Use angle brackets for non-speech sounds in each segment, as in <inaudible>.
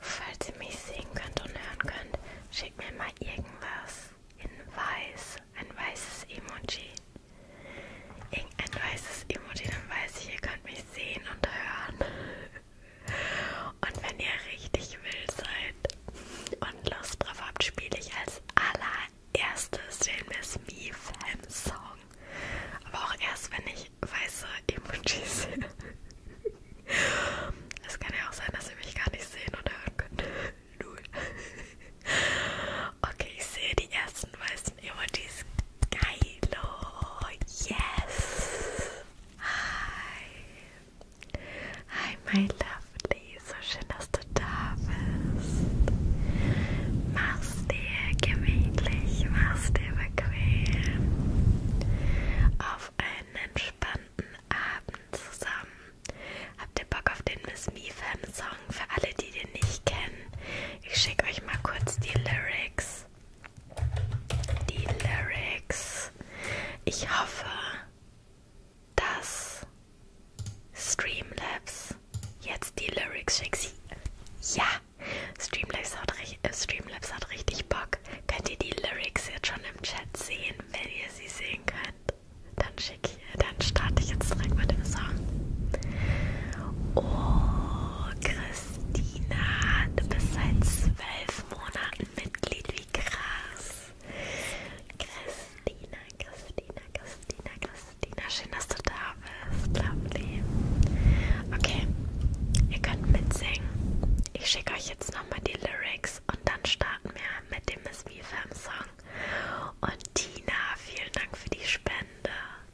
Falls ihr mich sehen könnt und hören könnt, schickt mir mal irgendwas in weiß, ein weißes Emoji. Irgendein weißes Emoji, dann weiß ich, ihr könnt mich mich sehen und hören. Und wenn ihr richtig wild seid und Lust drauf habt, spiele ich als allererstes den Miss Me Fam Song. Aber auch erst, wenn ich weiße Emojis sehe. Es kann ja auch sein, dass ihr mich gar nicht sehen und hören könnt. Null. Okay, ich sehe die ersten weißen Emojis Geilo, yes! Hi! Hi, my lovely, so schön, dass du da bist. Mach's dir gemütlich, mach's dir bequem. Auf einen entspannten Abend zusammen. Habt ihr Bock auf den Miss Me Fan Song? Für alle, die den nicht kennen, ich schicke euch mal kurz die Lyrics die Lyrics. Ich hoffe, dass Streamlabs jetzt die Lyrics schickt. Ja, Streamlabs hat, äh, Streamlabs hat richtig Bock. Könnt ihr die Lyrics jetzt schon im Chat sehen, wenn ihr sie sehen könnt? Dann schicke ich, dann starte ich jetzt direkt mit dem Song. Oh, Chris. Christina, du bist seit zwölf Monaten Mitglied, wie krass. Christina, Christina, Christina, Christina, schön, dass du da bist, lovely. Okay, ihr könnt mitsingen. Ich schicke euch jetzt nochmal die Lyrics und dann starten wir mit dem Miss Beefam Song. Und Tina, vielen Dank für die Spende.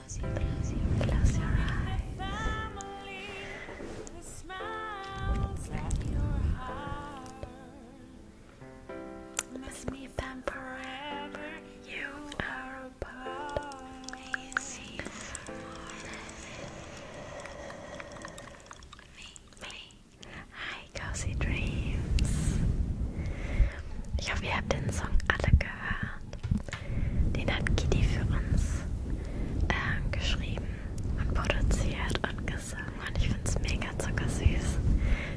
Close your eyes. Close your eyes. Let You are a part of me. See me. Hi, Cozy Dreams. Ich hoffe, ihr habt den Song alle gehört. Den hat Kitty für uns äh, geschrieben und produziert und gesungen. Und ich finde es mega zuckersüß,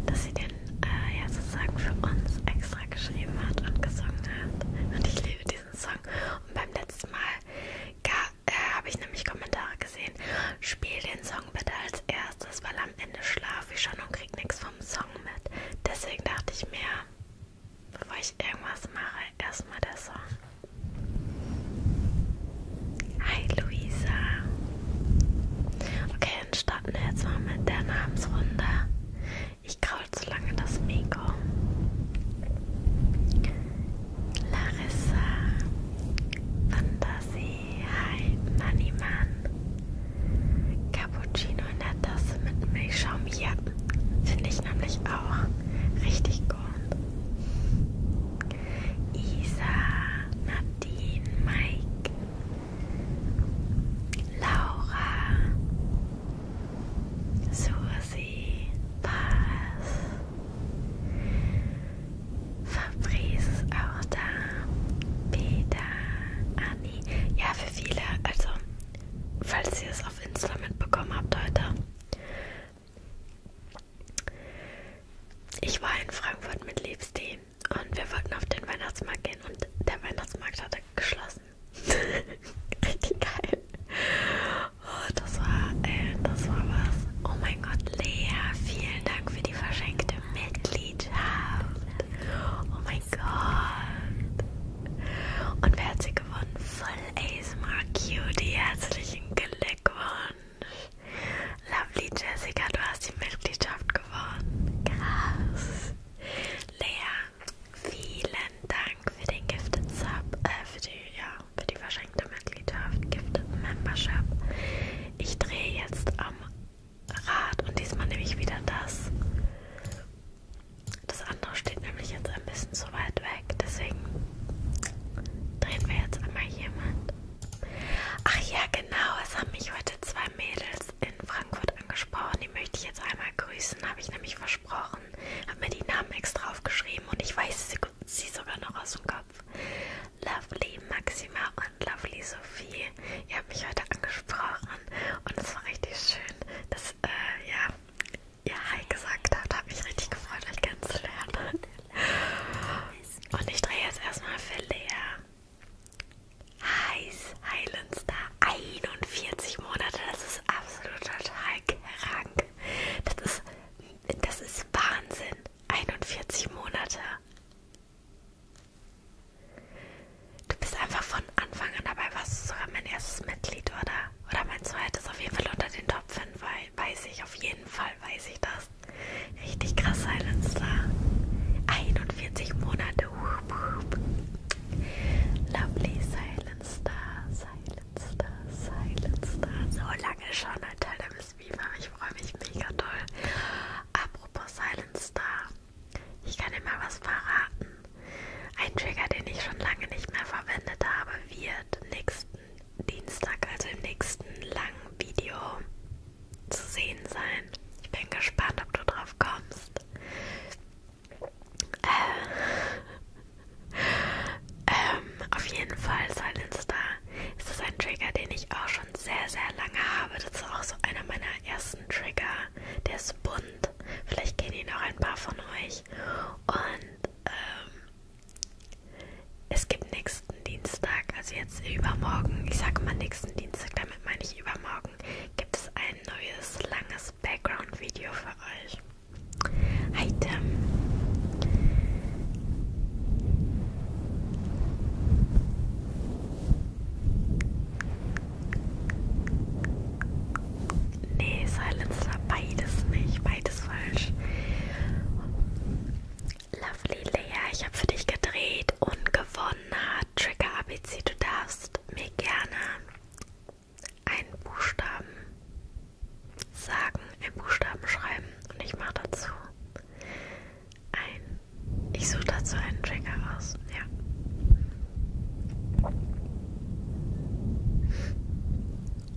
dass sie den äh, ja sozusagen für uns extra geschrieben hat und gesungen hat. Und ich liebe diesen Song. Und beim letzten Mal äh, habe ich nämlich Kommentare gesehen. Spiel den Song bitte als erstes, weil am Ende schlafe ich schon und krieg nichts vom Song mit. Deswegen dachte ich mir, bevor ich irgendwas mache, erstmal der Song. Hi Luisa. Okay, dann starten wir jetzt mal mit der Namensrunde. Ich kraul zu lange das Mikro. Larissa, Fantasie, Hi, Moneyman, Cappuccino in der Tasse mit Milchschaum hier. Finde ich nämlich auch richtig gut. Isa, Nadine, Mike, Laura, Susi, Paz, Fabrice ist auch da, Peter, Anni. Ja, für viele, also falls ihr es auf Insta mitbekommen habt heute. Ich war in Frankfurt mit Liebsti und wir wollten auf den Weihnachtsmarkt gehen und der Weihnachtsmarkt hatte geschlossen. <laughs> Richtig geil. Oh, das war, ey, äh, das war was. Oh mein Gott, Lea, vielen Dank für die verschenkte Mitgliedschaft. Oh mein Gott. Und wer hat sie gewonnen? Voll ASMR Cutie, herzlichen Glückwunsch. Lovely Jessica, du hast die Mitgliedschaft gewonnen. Krass. Lea, vielen Dank für den Gifted Sub, äh, für die, ja, für die verschenkte Mitgliedschaft, Gifted Membership. Ich drehe jetzt am Rad und diesmal nehme ich wieder das das andere steht nämlich jetzt ein bisschen zu weit weg, deswegen drehen wir jetzt einmal jemand. Ach ja, genau, es haben mich heute zwei Mädels in Frankfurt angesprochen. Die möchte ich jetzt einmal grüßen, habe ich nämlich versprochen. Habe mir die Namen extra aufgeschrieben und ich weiß sie, sie sogar noch aus dem Kopf. Lovely Maxima und Lovely Sophie. Ihr habt mich heute angesprochen und es war richtig schön. Das, äh, ja, ihr Hi gesagt habt, hat mich richtig gefreut, euch kennenzulernen. Und ich drehe jetzt erstmal für Lea. Heiß Highland Star 41 Monate, das ist absolut total krank. Das ist, das ist Wahnsinn. 41 Monate. Du bist einfach von Anfang an dabei, warst du sogar mein erstes Mitglied, oder? Oder mein zweites auf jeden Fall unter den Top 5, weil weiß ich, auf jeden Fall weiß ich das. Richtig krass, Silence Star. 41 Monate. Hup, hup. Lovely Silence Star, Silence Star, Silence Star. So lange schon ein Teil der Miss Beaver. Ich freue mich mega toll. Apropos Silence Star. Ich kann dir mal was verraten. Ein Trigger, den ich schon lange nicht mehr verwendet habe, wird nächsten Dienstag, also im nächsten langen Video, zu sehen sein. Ich bin gespannt, ob du drauf kommst. Äh, <laughs> ähm, auf jeden Fall, Silence Star, ist das ein Trigger, den ich auch schon sehr, sehr lange habe. Das ist auch so einer meiner ersten Trigger. Der ist bunt. Vielleicht kennen ihn auch ein paar von euch. Und ähm, es gibt nächsten Dienstag, also jetzt übermorgen, ich sage mal nächsten Dienstag, damit meine ich übermorgen, gibt es ein neues langes Background-Video für euch. Hi Tim. Nee, Silencer, beides nicht, beides falsch. Lovely Lea, ich habe für dich gedreht und gewonnen hat Trigger ABC. Du darfst mir gerne einen Buchstaben sagen, einen Buchstaben schreiben und ich mache dazu ein. Ich suche dazu einen Trigger aus, ja.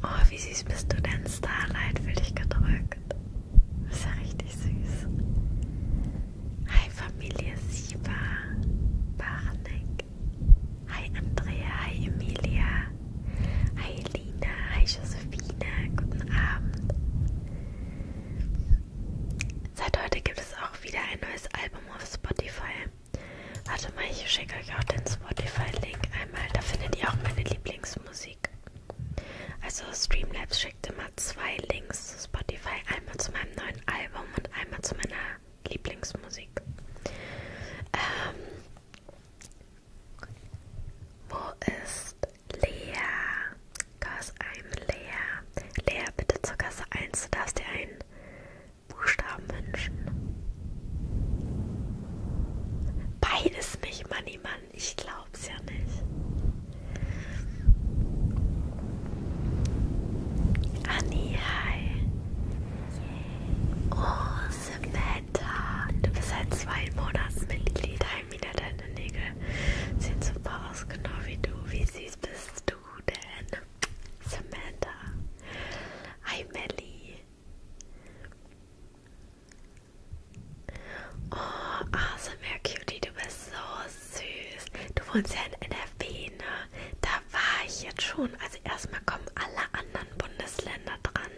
Oh, wie süß bist du denn? Starlight für dich gedrückt. Das ist ja richtig süß. Hi Familie Siva Barnick. Hi Andrea, hi Emilia. Hi Lina, hi Josephine. Guten Abend. Seit heute gibt es auch wieder ein neues Album auf Spotify. Warte mal, ich schicke euch auch den Spotify-Link einmal. Da findet ihr auch meine Lieblingsmusik. Also Streamlabs schickt immer zwei Links zu Spotify. Einmal zu meinem neuen Album und einmal zu meiner Lieblingsmusik. Ähm, wo ist Lea? Cause I'm Lea. Lea, bitte zur Kasse 1. Du darfst dir ein Buchstaben wünschen? Beides nicht, Manni, Mann. Ich glaub's ja nicht. Anni, hi. Yeah. Oh, Samantha. Du bist seit zwei Monaten Mitglied. Hi, wieder deine Nägel. Sieht super aus, genau wie du. Wie süß bist du denn? Samantha. Hi, Melly. Oh, ASMR Cutie, du bist so süß. Du wohnst ja in NRW, ne? Da war ich jetzt schon. Also erstmal kommen alle anderen Bundesländer dran.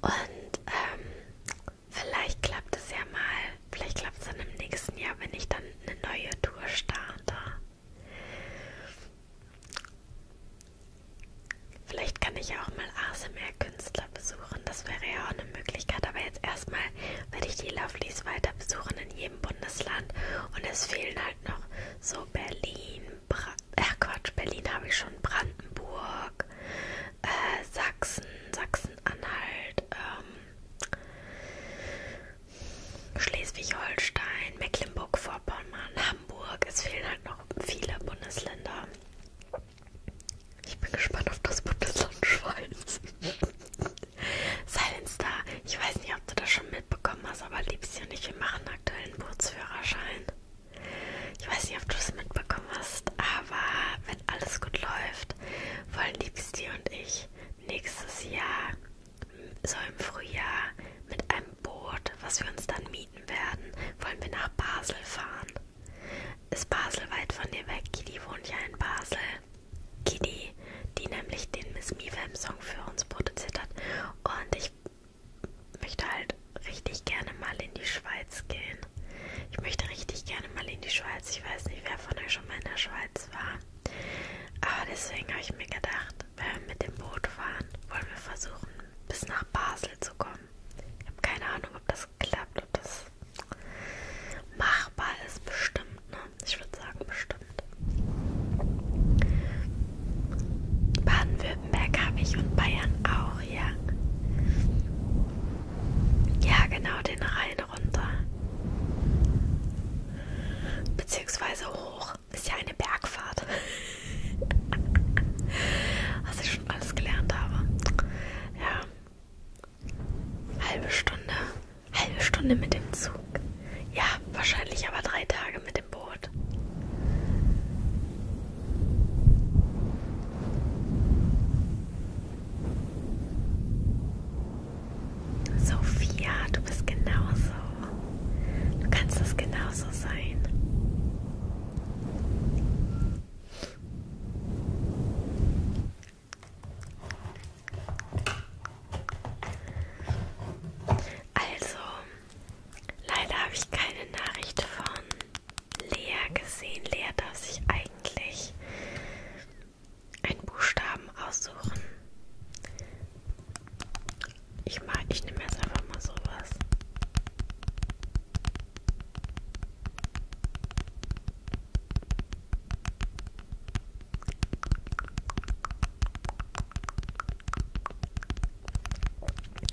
Und ähm, vielleicht klappt es ja mal. Vielleicht klappt es dann im nächsten Jahr, wenn ich dann eine neue Tour starte. Vielleicht kann ich auch mal ASMR-Künstler besuchen, das wäre ja auch eine Möglichkeit. Aber jetzt erstmal werde ich die Lovelies weiter besuchen in jedem Bundesland. Und es fehlen halt noch so Berlin, Bra Ach Quatsch, Berlin habe ich schon, Brandenburg, äh, Sachsen, Sachsen-Anhalt, ähm, Schleswig-Holstein, Mecklenburg-Vorpommern, Hamburg. Es fehlen halt noch viele Bundesländer. Ich bin gespannt auf das Bundesland Schweiz. <laughs> Silence Star, ich weiß nicht, ob du das schon mitbekommen hast, aber Liebste und ich, wir machen aktuell einen Bootsführerschein. Ich weiß nicht, ob du es mitbekommen hast, aber wenn alles gut läuft, wollen Liebste und ich nächstes Jahr, so im Frühjahr, mit einem Boot, was wir uns dann mieten werden, wollen wir nach Basel fahren. Ist Basel weit von dir weg? Kitty wohnt ja in Basel. Kitty, die nämlich den Miss Mivem Song für uns produziert hat. Und ich möchte halt richtig gerne mal in die Schweiz gehen. Ich möchte richtig gerne mal in die Schweiz. Ich weiß nicht, wer von euch schon mal in der Schweiz war. Aber ah, deswegen habe ich mir gedacht, wenn ähm, wir mit dem Boot fahren, wollen wir versuchen, bis nach Basel zu kommen. Ich habe keine Ahnung, ob das klappt, ob das machbar ist, bestimmt. Ne? Ich würde sagen, bestimmt. Baden-Württemberg habe ich und Bayern auch, ja. Ja, genau, den Rhein runter. Beziehungsweise hoch auch. Ist ja eine Bergfahrt. <laughs> Was ich schon alles gelernt habe. Ja. Halbe Stunde. Halbe Stunde mit dem Zug. Ja, wahrscheinlich aber drei Tage mit dem Boot. Sophia, du bist genauso. Du kannst das genauso sein. Also, leider habe ich keine Nachricht von Lea gesehen. Lea darf sich eigentlich einen Buchstaben aussuchen. Ich mag, ich nehme jetzt einfach mal sowas.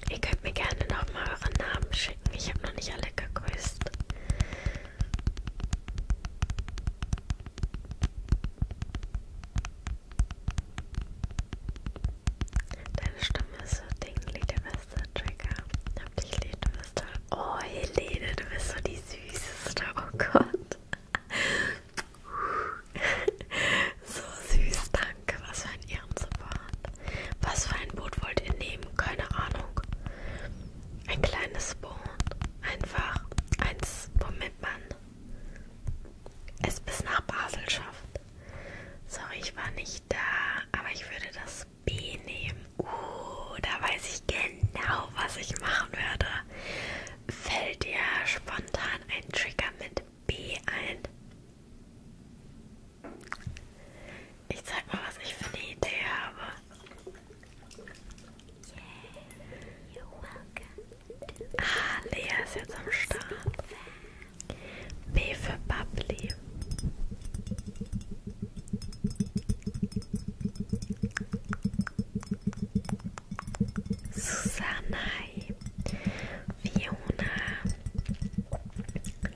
Ihr könnt mir gerne nochmal euren Namen schicken. Ich habe noch nicht alle gegrüßt. Deine Stimme ist so dinglich, der beste Trigger. Hab dich lieb, du bist toll. Oh, Helene, du bist so die süßeste. Oh Gott. <laughs> so süß, danke. Was für ein Ehrensupport. Was für ein Boot wollt ihr nehmen? Keine Ahnung. Ein kleines Boot. Einfach eins, womit man es bis nach Basel schafft. Sorry, ich war nicht da, aber ich würde das B nehmen. Uh, da weiß ich genau, was ich machen würde. Fällt dir spontan ein Trigger mit B ein? Ich zeig mal, was ich für eine Idee habe. Yeah, you're welcome. Ah, Lea ist jetzt am Start. B for Fiona,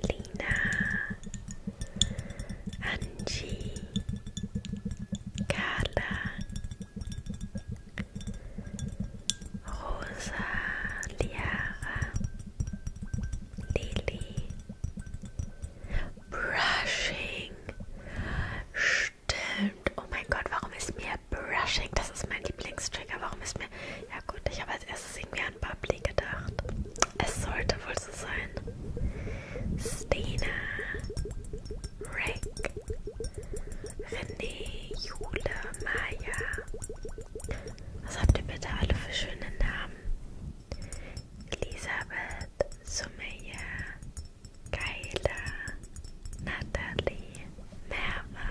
Lina, Angie, Carla, Rosa, Liara, Lili, Brushing. Stimmt. Oh mein Gott, warum ist mir Brushing? Das ist mein Lieblingstrigger. Warum ist mir. Ja, gut, ich habe als erstes irgendwie an Bubbly gedacht. Es sollte wohl so sein. Stina, Rick, René, Jule, Maya, was habt ihr bitte alle für schöne Namen? Elisabeth, Sumeya, Kayla, Natalie, Merva,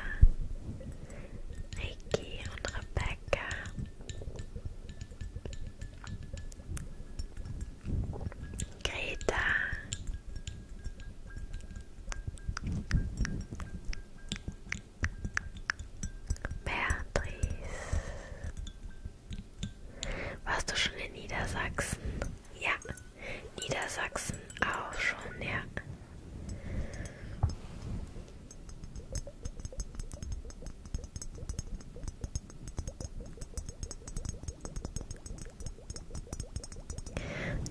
Ricky und Rebecca. Greta. Beatrice. Warst du schon in Niedersachsen? Ja. Niedersachsen auch schon, ja.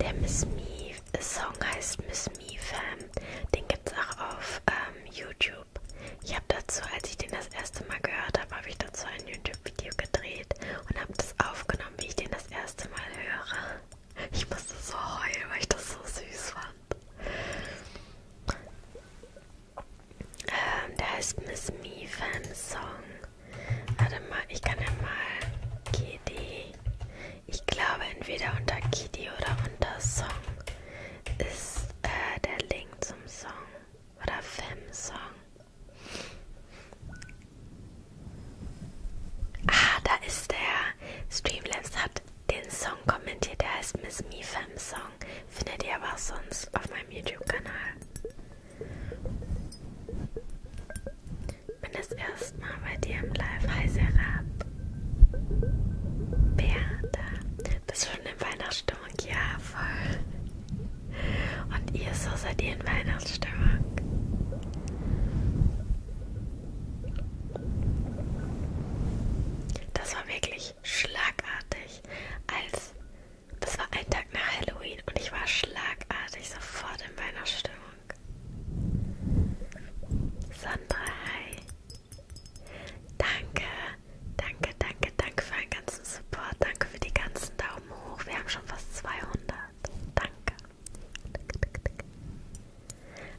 Der Miss Mief. Song heißt Miss Me Fam. Den gibt's auch auf ähm, YouTube. Ich habe dazu, als ich den das erste Mal gehört habe, habe ich dazu ein YouTube-Video gedreht und habe das aufgenommen, wie ich den das erste Mal höre. Ich musste so heulen, weil ich das so süß fand. Ähm, der heißt Miss Me Fam Song. Warte mal, ich kann ja mal GD ich glaube, entweder unter Kidi oder unter Song ist äh, der Link zum Song oder Fem-Song. Ah, da ist der. Streamlabs hat den Song kommentiert, der heißt Miss Me Fem Song. Findet ihr aber auch sonst auf meinem YouTube-Kanal. Bin das erst letzten Mal bei dir im Live. Hi Serap. Bertha. Bist du schon in Weihnachtsstimmung? Ja, voll. Und ihr so seid ihr in Weihnachtsstimmung? Das war wirklich schlagartig. Als das war ein Tag nach Halloween und ich war schlagartig sofort in Weihnachtsstimmung. Sandra, hi. Danke, danke, danke, danke für den ganzen Support. Danke für die ganzen Daumen hoch. Wir haben schon fast 200. Danke.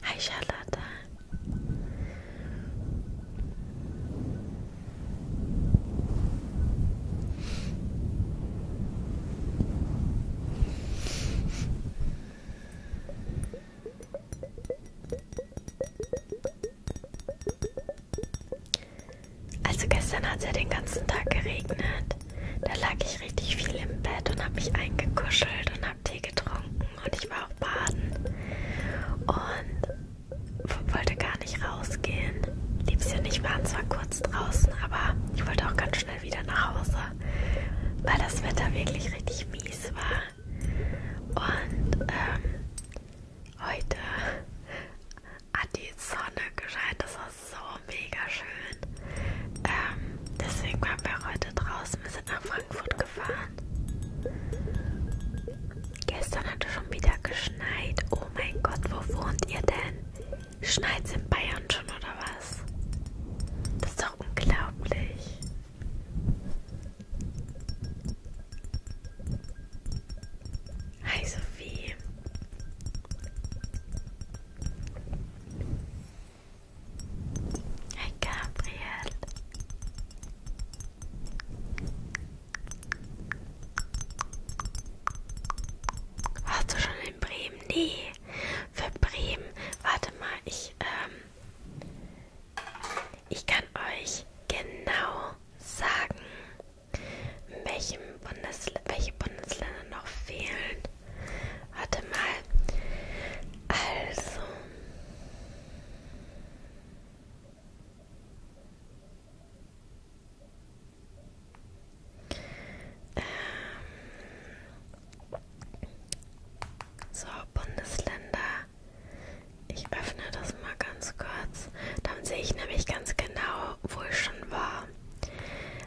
Hi, Charlotte. Also gestern hat es ja den ganzen Tag geregnet. Da lag ich richtig viel im Bett und habe mich eingekuschelt und habe Tee getrunken und ich war auch baden und wollte gar nicht rausgehen. Lieb's ja nicht, waren zwar kurz draußen, aber ich wollte auch ganz schnell wieder nach Hause, weil das Wetter wirklich richtig mies war. Und ähm, heute hat die Sonne gescheint, das war so mega schön. Ähm, deswegen waren wir heute draußen, wir sind nach Frankfurt gefahren. Gestern hat es schon wieder geschneit. Oh mein Gott, wo wohnt ihr denn? Schneit's in Bayern schon oder was? Das ist doch unglaublich. Hi Sophie. Hi Gabriel. Warst du schon in Bremen? Nee. Für Bremen. Warte mal, ich ähm, ich kann euch genau sagen, welchem Bundes welche Bundesländer noch fehlen. Warte mal. Also. Ähm. So, Bundesländer. Ich öffne das mal ganz kurz. Dann sehe ich nämlich ganz genau, wo ich schon war.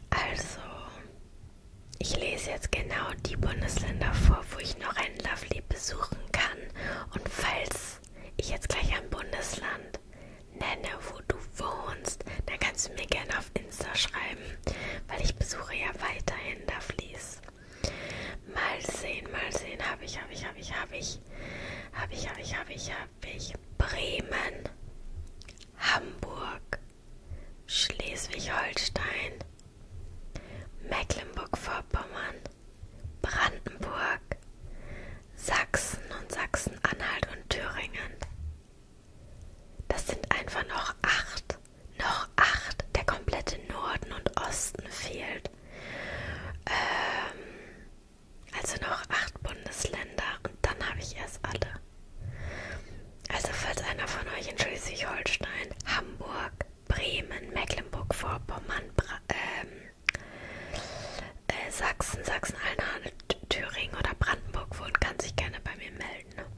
Also, ich lese jetzt genau die Bundesländer vor, wo ich noch einen Lovely besuchen kann. Und falls ich jetzt gleich ein Bundesland nenne, wo du wohnst, dann kannst du mir gerne auf Insta schreiben, weil ich besuche ja weiterhin Lovelies. Mal sehen, mal sehen. Habe ich, habe ich, habe ich, habe ich. Habe ich, habe ich, habe ich, habe ich. Bremen, Hamburg, Schleswig-Holstein, Mecklenburg-Vorpommern, Brandenburg, Sachsen und Sachsen-Anhalt und Thüringen. Das sind einfach noch acht noch acht, der komplette Norden und Osten fehlt. Ähm, also noch acht Bundesländer und dann habe ich erst alle. Also falls einer von euch in Schleswig-Holstein, Hamburg, Bremen, Mecklenburg-Vorpommern, ähm, äh, Sachsen, Sachsen-Anhalt, Thüringen oder Brandenburg wohnt, kann sich gerne bei mir melden.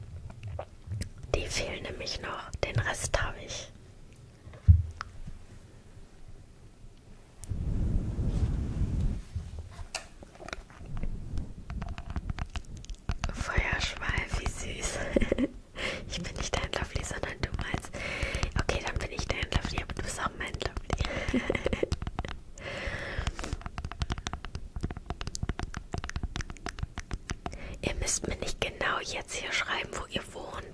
Die fehlen nämlich noch, den Rest habe ich. Feuerschweif, wie süß. <laughs> ich bin nicht dein Lovely, sondern du meinst. Okay, dann bin ich dein Lovely, aber du bist auch mein Lovely. <laughs> Ihr müsst mir nicht genau jetzt hier schreiben, wo ihr wohnt,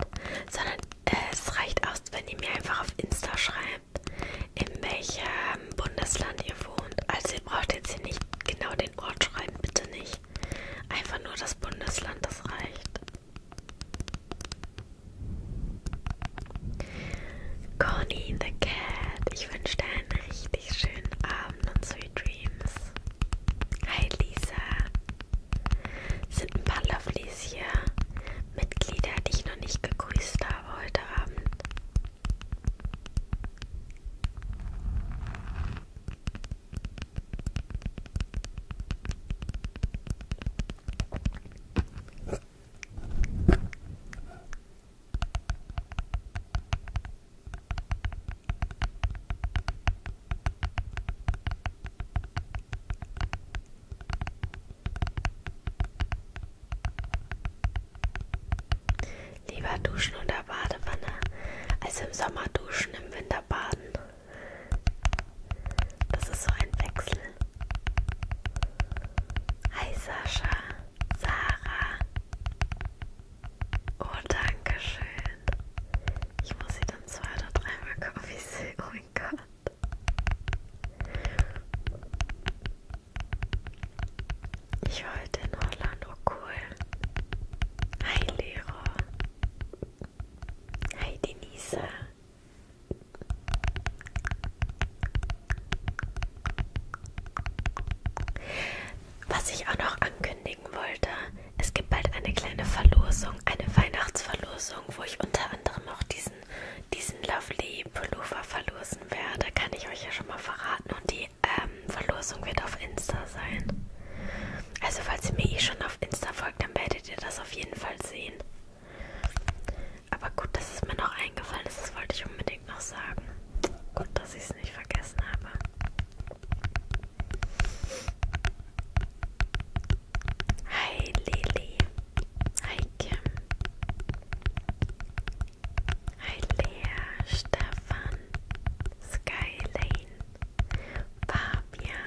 sondern äh, es reicht aus, wenn ihr mir einfach auf Insta schreibt, in welchem Bundesland ihr wohnt. Also ihr braucht jetzt hier nicht genau den Ort schreiben, bitte nicht. Einfach nur das Bundesland, das reicht. Conny the Cat, ich wünsche dir einen richtig schönen Abend und so Sweet Dreams. Hi Lisa. Sind ein paar Lovelies hier. Mitglieder, die ich noch nicht gegrüßt habe heute Abend. Lieber duschen oder Badewanne als im Sommer duschen, im Winter baden. Das ist so ein Wechsel. Hi Sascha, Sarah. Oh, danke schön. Ich muss sie dann zwei oder dreimal gucken, wie sie. Oh mein Gott. Ich war heute in Holland, oh cool. Hi Lehrer. Hi Denise. Was ich auch noch ankündigen wollte, es gibt bald eine kleine Verlosung, eine Weihnachtsverlosung, wo ich unter anderem auch diesen, diesen Lovely Pullover verlosen werde. Kann ich euch ja schon mal verraten. Und die ähm, Verlosung wird auf Insta sein. Also falls ihr mir eh schon auf Insta folgt, dann werdet ihr das auf jeden Fall sehen. Aber gut, dass es mir noch eingefallen ist, das wollte ich unbedingt noch sagen. Gut, dass ich es nicht vergessen habe. Hi Lily. Hi Kim. Hi Lea, Stefan, Skyline, Fabian.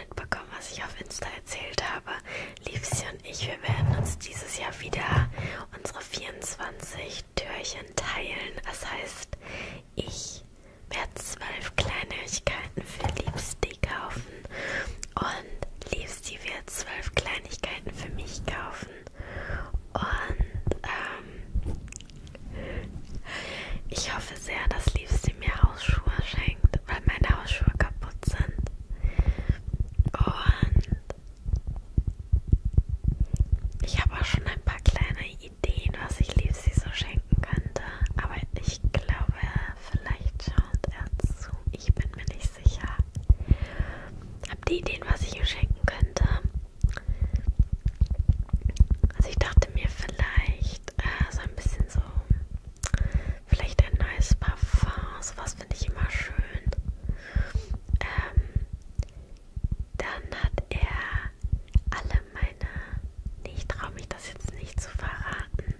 mitbekommen, was ich auf Insta erzählt habe. Liebsi und ich, wir werden uns dieses Jahr wieder unsere 24 Türchen teilen. Das heißt, ich werde zwölf Kleinigkeiten für Liebsti kaufen und Liebsti wird zwölf Kleinigkeiten für mich kaufen. Und ähm, ich hoffe sehr, dass Liebste mir Hausschuhe schenkt, weil meine Hausschuhe kaputt sind. Und ich habe auch schon ein paar kleine Ideen, was ich Liebste so schenken könnte. Aber ich glaube, vielleicht schaut er zu. Ich bin mir nicht sicher. Habt ihr Ideen, was ich ihm schenken könnte? Also ich dachte mir vielleicht äh, so ein bisschen so so vielleicht ein neues Parfum, sowas finde ich immer schön. Ähm, dann hat er alle meine, nee, ich traue mich das jetzt nicht zu verraten,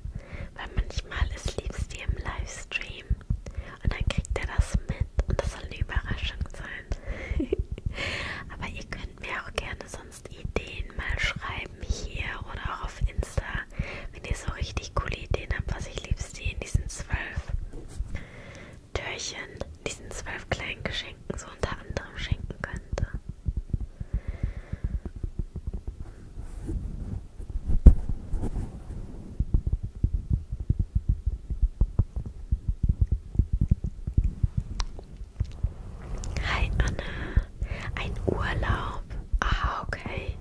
weil manchmal ist liebst die im Livestream und dann kriegt er das mit und das soll eine Überraschung sein. <laughs> Aber ihr könnt mir auch gerne so ein sonst Ideen mal schreiben hier oder auch auf Insta, wenn ihr so richtig coole Ideen habt, was ich liebst die in diesen zwölf Türchen, diesen zwölf kleinen Geschenken so unter anderem schenken könnte. Hi Anna, ein Urlaub. Aha, okay.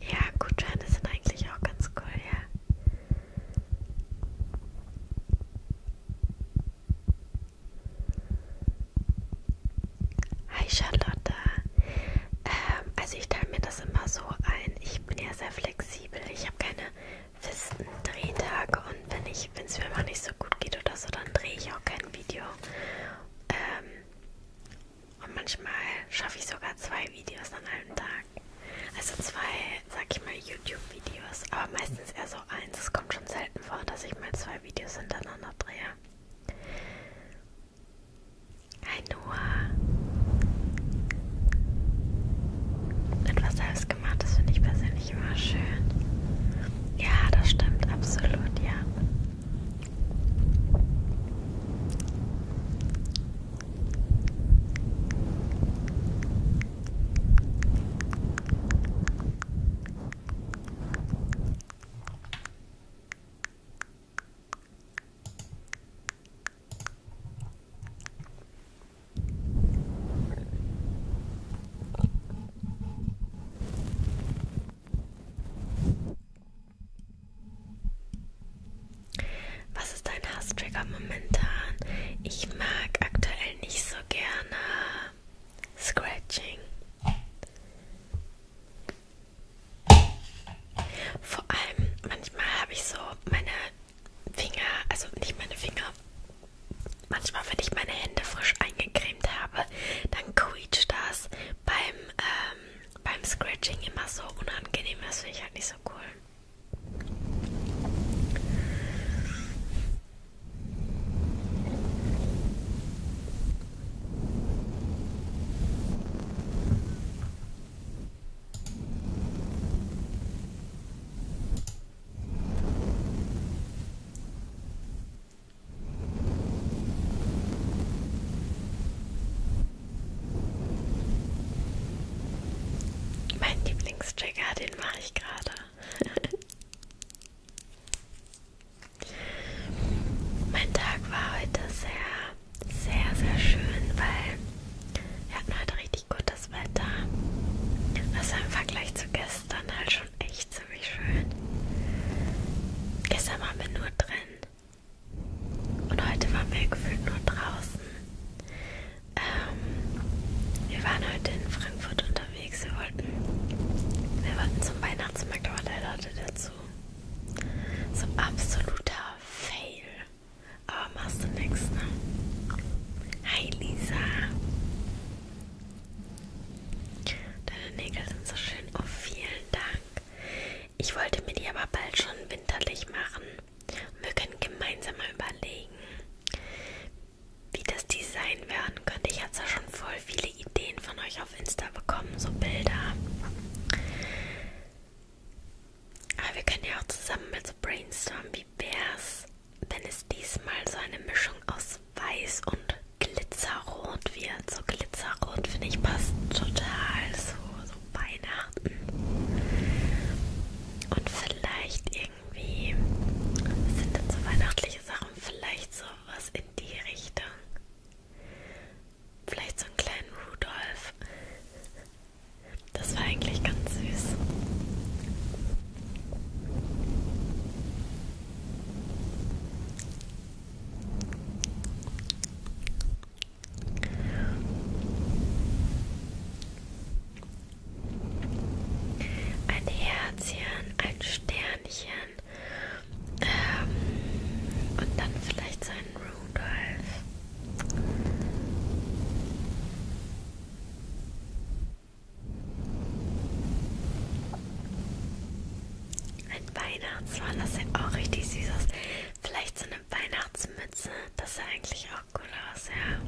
Ja, Gutscheine sind eigentlich auch ganz cool, ja. Hi Charlotte. Ähm, also ich teile mir das immer so ein. Ich bin ja sehr flexibel. Ich habe keine festen Drehtage und wenn ich, wenn es mir mal nicht so gut geht oder so, dann drehe ich auch kein Video. Ähm, und manchmal schaffe ich sogar zwei Videos an einem Tag. Also zwei, sag ich mal, YouTube-Videos, aber meistens eher so eins. Es kommt schon selten vor, dass ich mal zwei Videos hintereinander drehe. Hi Noah. Mit was hast gemacht. Das finde ich persönlich immer schön. Ja, das stimmt absolut, ja. Was ist dein Hasstrigger momentan? Ich mag aktuell nicht so gerne Scratching. Vor allem manchmal habe ich so meine Finger, also nicht meine Finger. Manchmal, wenn ich meine Hände frisch eingecremt habe, dann quietscht das beim, ähm, beim Scratching immer so unangenehm. Das finde ich halt nicht so cool. Mein Lieblingstrigger, den mache ich gerade. <laughs> mein Tag war heute sehr, sehr, sehr schön, weil wir hatten heute richtig gute das Wetter. Also im Vergleich zu gestern halt schon echt ziemlich schön. Gestern waren wir nur drin. Und heute waren wir gefühlt nur draußen. Ähm, wir waren heute in Frankfurt unterwegs. Wir wollten, wir wollten zum Weihnachtsmarkt, aber der Leute dazu. So ein absoluter Fail. Aber machst du nichts, ne? Hi Lisa. Deine Nägel sind so schön. Oh, vielen Dank. Ich wollte mir die aber bald schon winterlich machen. Wir können gemeinsam mal überlegen, wie das Design werden könnte. Ich hatte ja schon voll viele Ideen von euch auf Insta bekommen, so Bilder. Aber wir können ja auch zusammen mal so brainstormen, wie wär's, wenn es diesmal so eine Mischung aus Weiß und Glitzerrot wird. So Glitzerrot finde ich passt total so, so Weihnachten. Und vielleicht irgendwie was sind denn so weihnachtliche Sachen, vielleicht sowas in die Richtung. Vielleicht so einen kleinen Rudolf. Das war eigentlich ganz süß. Ein Herzchen, ein Sternchen ähm, und dann vielleicht sein Rudolf. Ein Weihnachtsmann, das sieht auch richtig süß aus. Vielleicht so eine Weihnachtsmütze, das sah eigentlich auch cool aus, ja.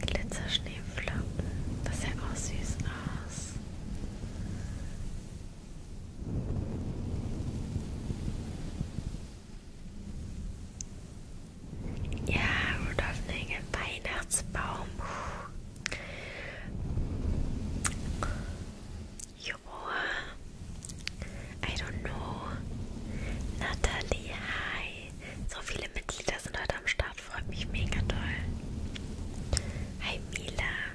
Glitzer Schneeflocken, das sieht auch süß aus. Ja, Rudolf Nagel, Weihnachtsbaum. Joa. I don't know. Natalie, hi. So viele Mitglieder sind heute am Start, freut mich mega doll. Hi Mila.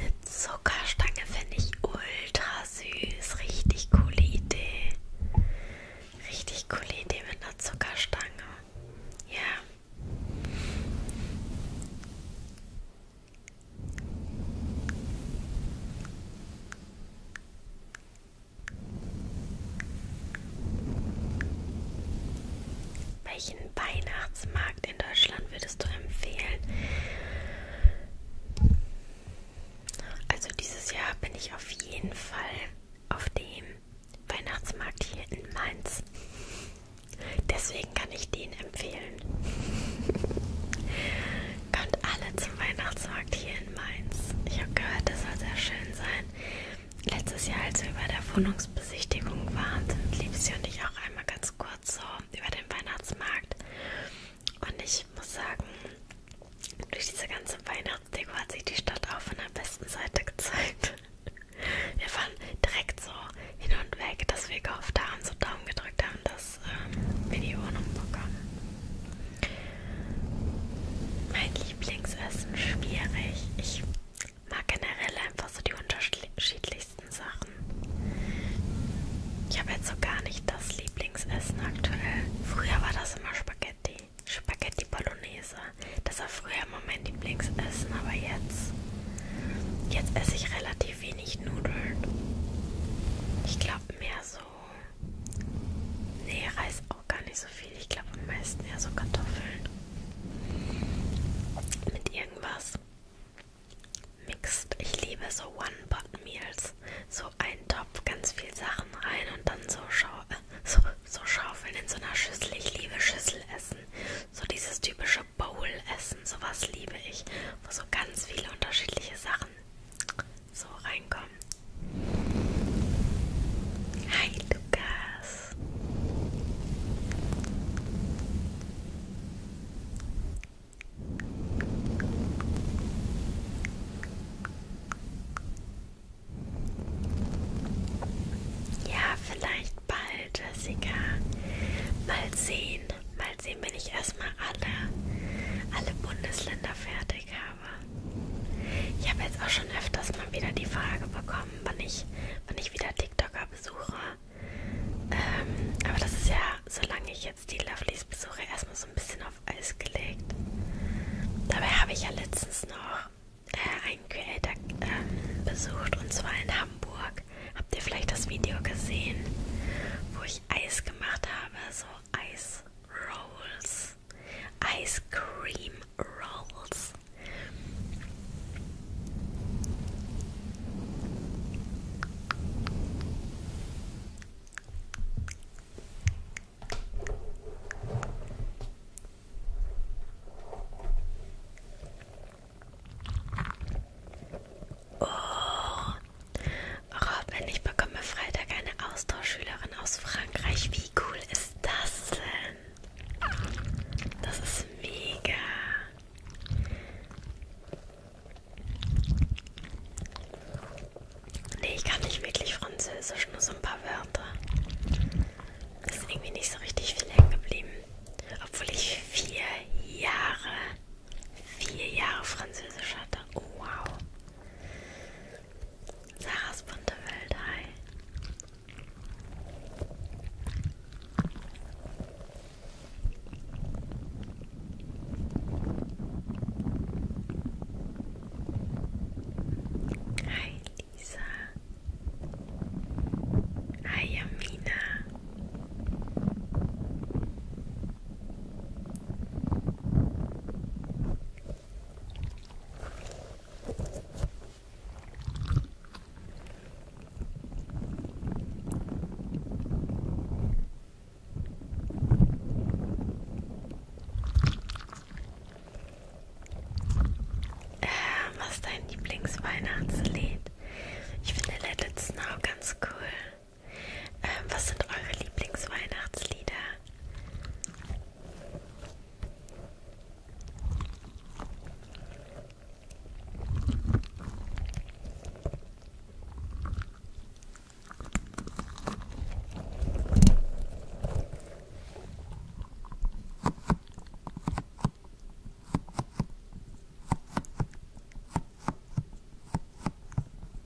Eine Zuckerstange finde ich ultra süß. Richtig coole Idee. Richtig coole Idee mit einer Zuckerstange. Ja. Welchen Weihnachtsmarkt in Deutschland würdest du empfehlen? Also dieses Jahr bin ich auf jeden Fall auf dem Weihnachtsmarkt hier in Mainz. Deswegen kann ich den empfehlen. Kommt alle zum Weihnachtsmarkt hier in Mainz. Ich habe gehört, das soll sehr schön sein. Letztes Jahr, als wir bei der Wohnungsbesichtigung waren, sind Liebste und ich auch einmal ganz kurz so über den Weihnachtsmarkt. Und ich muss sagen, durch diese ganze Weihnachtsdeko hat sich die Stadt auch von der besten Seite gezeigt. Wir waren direkt so hin und weg, dass wir gehofft haben, so Daumen gedrückt haben, dass das ähm, Video hinbekommen. Mein Lieblingsessen schwierig. Ich mag generell einfach so die unterschiedlichsten Sachen. Ich habe jetzt so gar nicht das Lieblingsessen aktuell. Früher war das immer Spaghetti. Spaghetti Bolognese. Das war früher immer mein Lieblingsessen, aber jetzt. Jetzt esse ich relativ wenig Nudeln. Ich glaube mehr so so. Nee, Reis auch gar nicht so viel. Ich glaube am meisten eher so Kartoffeln. Mit irgendwas. Mixed. Ich liebe so One-Pot-Meals. So ein Topf, ganz viel Sachen rein und dann so, schau äh, so, so schaufeln in so einer Schüssel. Ich liebe Schüsselessen. So dieses typische Bowl-Essen. Sowas liebe ich. Wo so ganz viele unterschiedliche Sachen so reinkommen. Hi Lukas. Ja, vielleicht bald, Jessica. Mal sehen. Mal sehen, wenn ich erstmal alle, alle Bundesländer fertig Überblick habe. Ich habe jetzt auch schon öfters mal wieder die Frage bekommen, wann ich, wann ich wieder TikToker besuche. Ähm, aber das ist ja, solange ich jetzt die Lovelies besuche, erstmal so ein bisschen auf Eis gelegt. Dabei habe ich ja letztens noch äh, einen Creator äh, besucht und zwar in Hamburg. Habt ihr vielleicht das Video gesehen, wo ich Eis gemacht habe? So Eis rolls, ice cream rolls. Oh, Robin, ich bekomme Freitag eine Austauschschülerin aus Frankreich. Wie cool ist das denn? Das ist mega. Nee, ich kann nicht wirklich Französisch, nur so ein paar Wörter. Ist irgendwie nicht so richtig viel hängen geblieben. Obwohl ich vier Jahre, vier Jahre Französisch hatte. Oh, wow. Sarahs bunte Welt, hi. Hi Lisa. Hi Amina. Was dein Lieblingsweihnachtslied? Ich finde Let It Snow ganz cool. Ähm, was sind eure Lieblingsweihnachtslieder?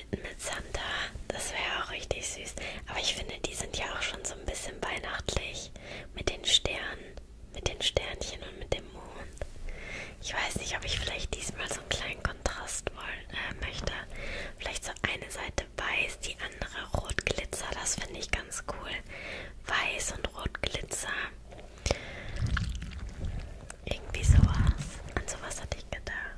geschnitten mit Santa. Das wäre auch richtig süß. Aber ich finde, die sind ja auch schon so ein bisschen weihnachtlich. Mit den Sternen, mit den Sternchen und mit dem Mond. Ich weiß nicht, ob ich vielleicht diesmal so einen kleinen Kontrast wollen, äh, möchte. Vielleicht so eine Seite weiß, die andere rot glitzer. Das finde ich ganz cool. Weiß und rot glitzer. Irgendwie sowas. An sowas hatte ich gedacht.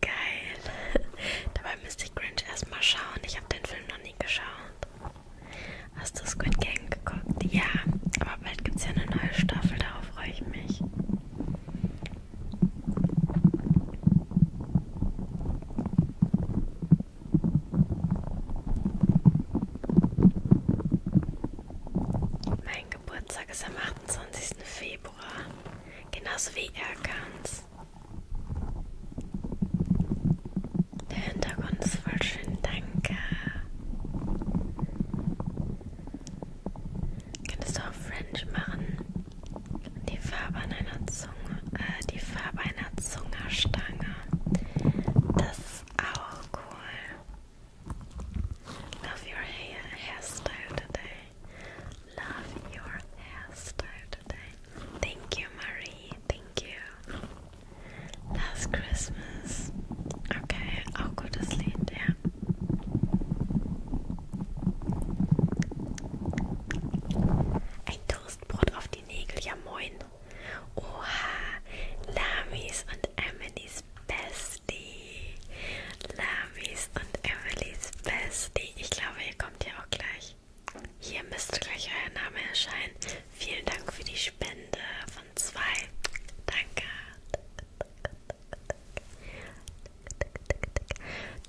geil. <laughs> Dabei müsste ich Grinch erstmal schauen. Ich habe den Film noch nie geschaut. Hast du Squid Game geguckt? Ja, aber bald gibt es ja eine neue Staffel, darauf freue ich mich. Mein Geburtstag ist am 28. Februar. Genauso wie er kann's. Der Hintergrund ist voll schön, danke. Könntest du auch French machen? Die Farbe an einer Zunge, äh, die Farbe einer Zungerstange. Das ist auch cool. Love your hair hairstyle today. love your hairstyle today. Thank you, Marie. Thank you. Last Christmas. Okay, I'll go to Yeah. Ein Toastbrot auf die Nägel, ja Oha, Lamis und Emily's Bestie. Lamis und Emily's Bestie. Ich glaube, ihr kommt kommt ja auch gleich. Hier müsste gleich euer Name erscheinen. Vielen Dank für die Spende von zwei. Danke.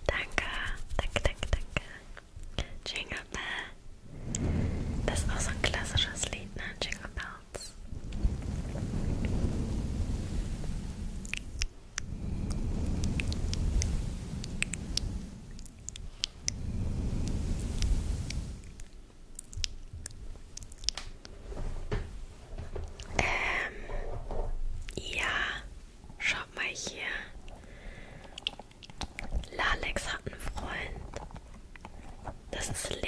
Danke, danke, danke, danke. Jingle Bell. Das ist auch so ein klassisches Lied, ne? Jingle Bells. Ähm, ja, schaut mal hier. Lalex hat einen Freund. Das ist Lea.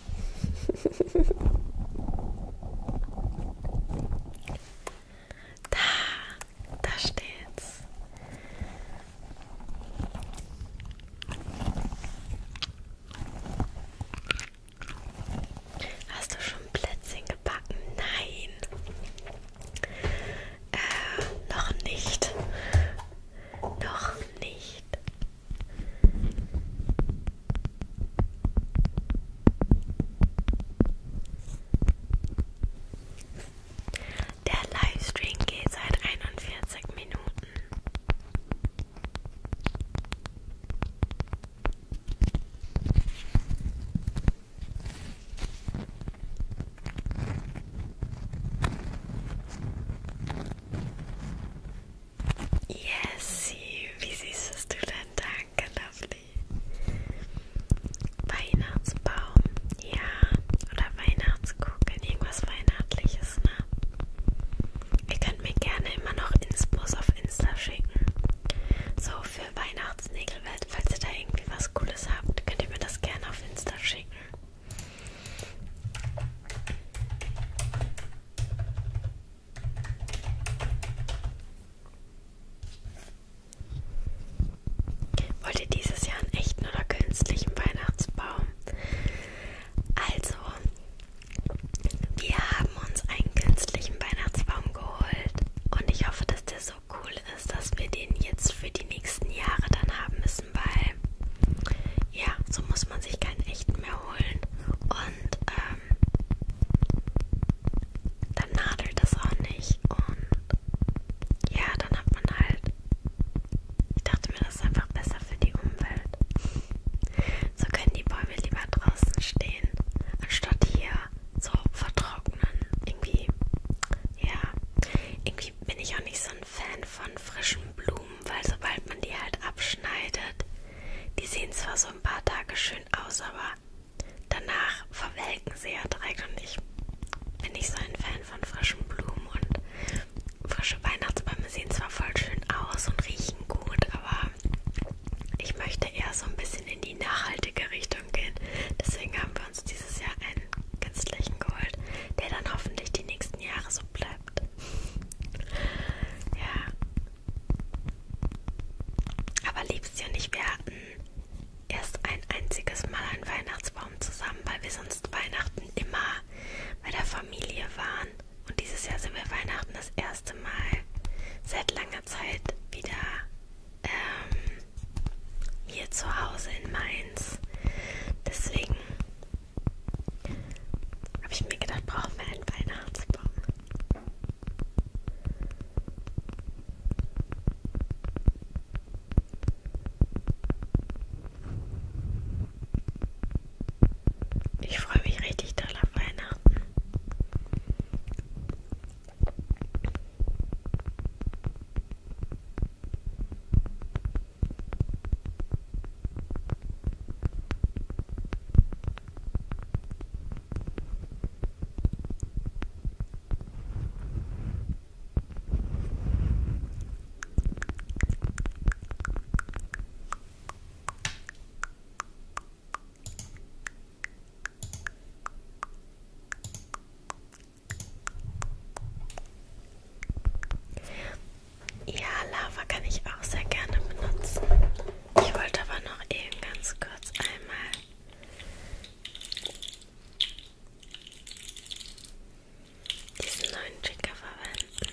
<laughs> Da, da steht's. Hast du schon Plätzchen gebacken? Nein. Äh, noch nicht. Noch nicht. Der Livestream geht seit 41 Minuten. Jessie, wie süßest du denn? Danke, Lovely. Weihnachtsbaum, ja. Oder Weihnachtskugeln, irgendwas Weihnachtliches, ne? Ihr könnt mir gerne immer noch Inspos auf Insta schicken. So für Weihnachtsnägelwelt, falls ihr da irgendwie was Cooles habt, könnt ihr mir das gerne auf Insta schicken. Wollt ihr dieses Jahr einen echten oder künstlichen Weihnachtsbaum? Also, wir haben uns einen künstlichen Weihnachtsbaum geholt und ich hoffe, dass der so cool ist, dass wir den jetzt für die nächsten Jahre dann haben müssen, weil ja, so muss man sich keinen echten mehr holen. Und ähm, dann nadelt das auch nicht und ja, dann hat man halt, ich dachte mir, das ist einfach besser für die Umwelt. So können die Bäume lieber draußen stehen, anstatt hier so vertrocknen. Irgendwie, ja, irgendwie bin ich auch nicht so ein Fan von frischen Blumen, weil sobald man die halt abschneidet, die sehen zwar so ein paar Tage schön aus, aber Danach verwelken sie ja direkt und ich bin nicht so ein Fan von frischen Blumen und frische Weihnachtsbäume sehen zwar voll schön aus und riechen gut, aber ich möchte eher so ein bisschen in die nachhaltige Richtung gehen. Deswegen haben wir uns dieses Jahr einen künstlichen geholt, der dann hoffentlich die nächsten Jahre so bleibt. Ja, aber Liebsten und ich, wir hatten erst ein einziges Mal einen Weihnachtsbaum zusammen, weil wir sonst Weihnachten immer bei der Familie waren. Und dieses Jahr sind wir Weihnachten das erste Mal seit langer Zeit wieder ähm, hier zu Hause in Mainz. Deswegen habe ich mir gedacht, brauchen wir einen Weihnachtsbaum. Ich freue mich richtig doll auf Weihnachten. Ja, Lava kann ich auch sehr gerne benutzen. Ich wollte aber noch eben ganz kurz einmal diesen neuen Trigger verwenden.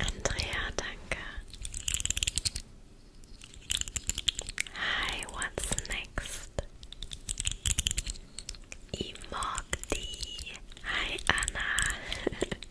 Andrea, danke. Hi, what's next? Imogdi. Hi, Anna. <laughs>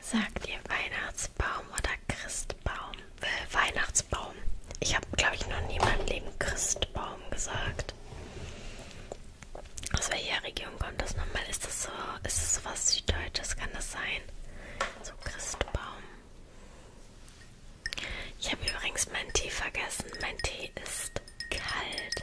Sagt ihr Weihnachtsbaum oder Christbaum? Äh, Weihnachtsbaum. Ich habe, glaube ich, noch nie in meinem Leben Christbaum gesagt. Aus welcher Region kommt das nochmal? Ist das so, ist das so was Süddeutsches? Kann das sein? So Christbaum. Ich habe übrigens meinen Tee vergessen. Mein Tee ist kalt.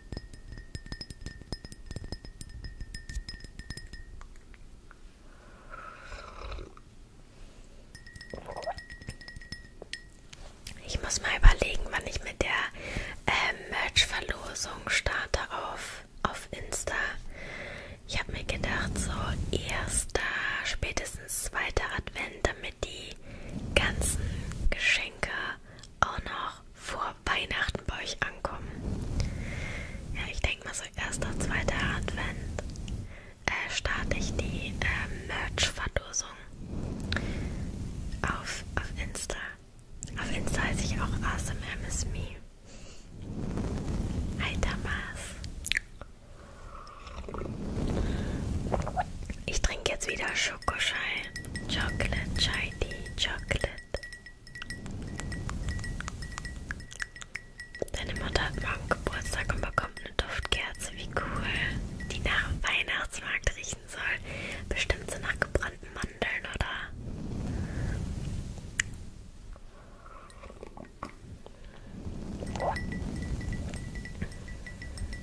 Ich muss mal überlegen, wann ich mit der äh, Merch-Verlosung starte auf, auf Insta. Ich habe mir gedacht, so erster, spätestens zweiter Advent, damit die ganzen Geschenke auch noch vor Weihnachten bei euch ankommen. Ja, ich denke mal so erster, zweiter Advent äh, starte ich die äh, Merch-Verlosung auf, auf Insta. Auf Insta heiße ich auch AwesomeMSMe. Hi Damas. Ich trinke jetzt wieder Schorle. Schokoschein, Chocolate, Chai Tea, Chocolate. Deine Mutter hat morgen Geburtstag und bekommt eine Duftkerze, wie cool. Die nach dem Weihnachtsmarkt riechen soll. Bestimmt so nach gebrannten Mandeln, oder?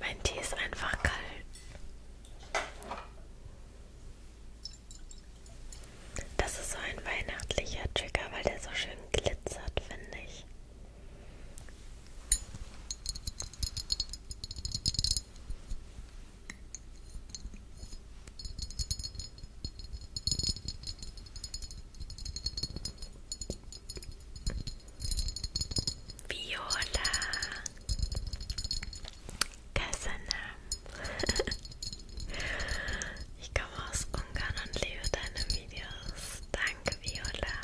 Mein Tee ist einfach kalt. Das ist so ein weihnachtlicher Trigger, weil der so schön glitzert, finde ich. Viola Kasana. <laughs> ich komme aus Ungarn und liebe deine Videos. Danke, Viola.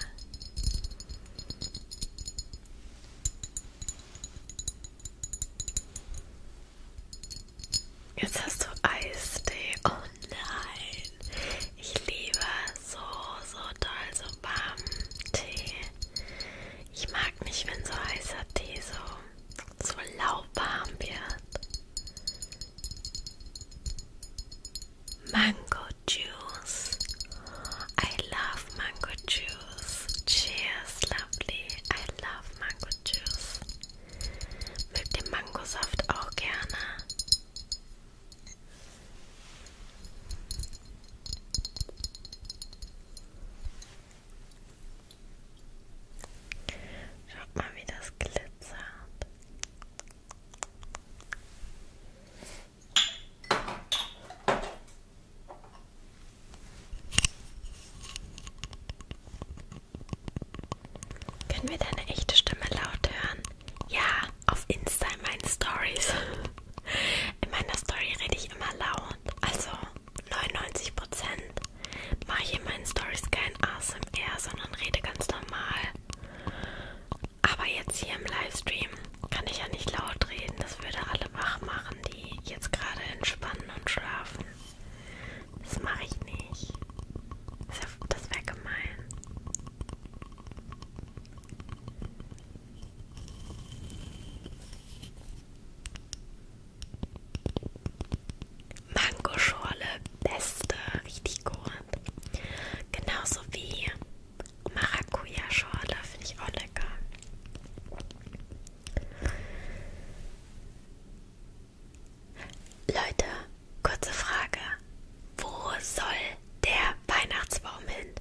Jetzt hast du Eistee. Oh nein. Ich liebe so, so toll so warmen Tee. Ich mag nicht, wenn so heißer Tee so, so lauwarm wird. Mango Juice. I love mango juice. Cheers, lovely. I love mango juice. Mögt ihr Mangosaft auch gerne? Schaut mal, wie das glitzert. Können wir deine echte Stimme laut hören? Ja, auf Insta in meinen Stories. <laughs> In meiner Story rede ich immer laut. Also 99% mache ich in meinen Stories kein ASMR, sondern rede ganz normal. Aber jetzt hier im Livestream kann ich ja nicht laut reden. Das würde alle wach machen, die jetzt gerade entspannen und schlafen. Das mache ich nicht. Das wäre gemein. Mangoschorle, beste, richtig gut. Genauso wie Maracuja-Schorle, finde ich auch lecker. Leute, kurze Frage. Wo soll der Weihnachtsbaum hin?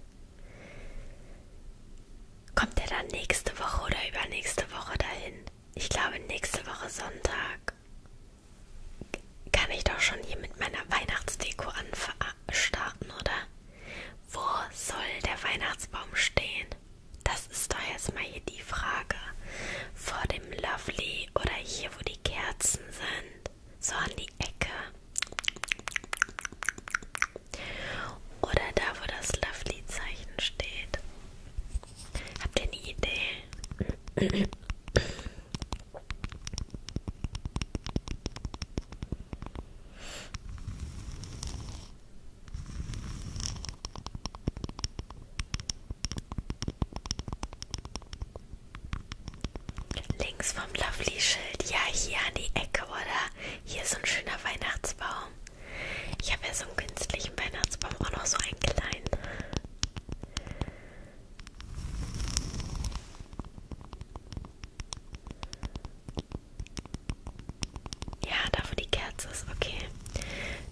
Kommt er dann nächste Woche oder übernächste Woche dahin? Ich glaube, nächste Woche Sonntag kann ich doch schon hier mit meiner Weihnachtsdeko anstarten, oder? Wo soll der Weihnachtsbaum stehen? Das ist doch erstmal hier die Frage. Vor dem Lovely oder hier, wo die Kerzen sind? So an die Ecke. Oder da, wo das Lovely-Zeichen steht. Habt ihr eine Idee? Links vom Lovely-Schild, ja, hier an die Ecke, oder? hier ist so ein schöner Weihnachtsbaum. Ich habe ja so einen künstlichen Weihnachtsbaum, auch noch so einen kleinen. Ja, da wo die Kerze ist, okay.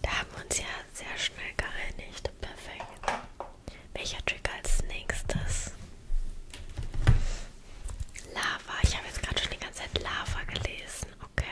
Da haben wir uns ja sehr schnell geeinigt. Perfekt. Welcher Trick als nächstes? Lava. Ich habe jetzt gerade schon die ganze Zeit Lava gelesen. Okay.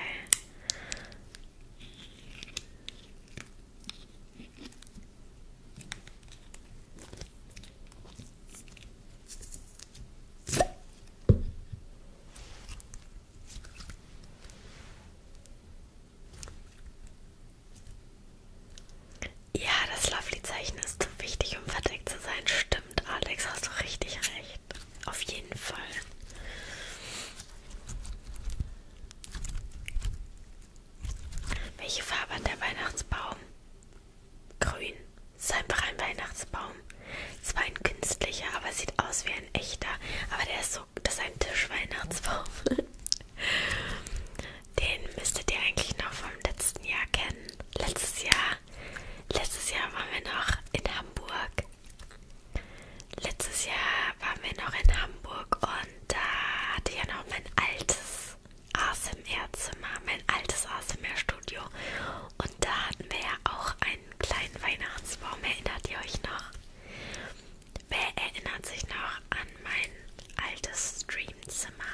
Ja, das Lovely-Zeichen ist zu wichtig, um verdeckt zu sein. Stimmt stimmt, Alex, hast du richtig recht. Auf jeden Fall. Welche Farbe hat der Weihnachtsbaum? Grün. Ist einfach ein Weihnachtsbaum. Zwar ein künstlicher, aber sieht aus wie ein echter. Aber der ist so, das ist ein Tischweihnachtsbaum. <laughs> Den müsstet ihr eigentlich noch vom letzten Jahr kennen. Letztes Jahr Letztes Jahr waren wir noch in Hamburg. Letztes Jahr waren wir noch in Hamburg und da hatte ich ja noch mein altes ASMR-Zimmer, mein altes ASMR-Studio. Und da hatten wir ja auch einen kleinen Weihnachtsbaum. Erinnert ihr euch noch? Wer erinnert sich noch an mein altes Streamzimmer?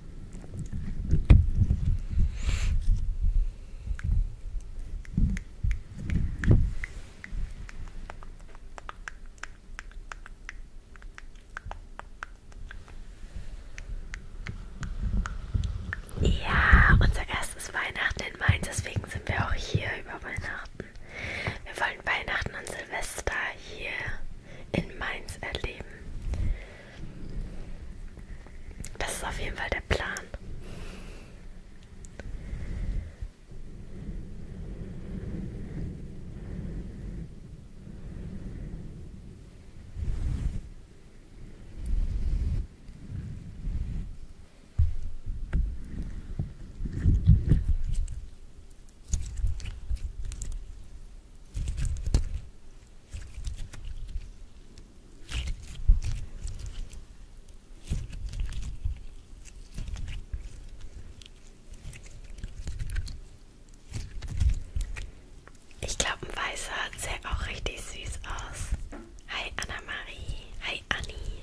Ja, unser erstes Weihnachten in Mainz, deswegen sind wir auch hier über Weihnachten. Wir wollen Weihnachten und Silvester hier in Mainz erleben. Das ist auf jeden Fall der Plan. Ich glaube, ein weißer sieht auch richtig süß aus. Hi Anna-Marie. Hi Anni.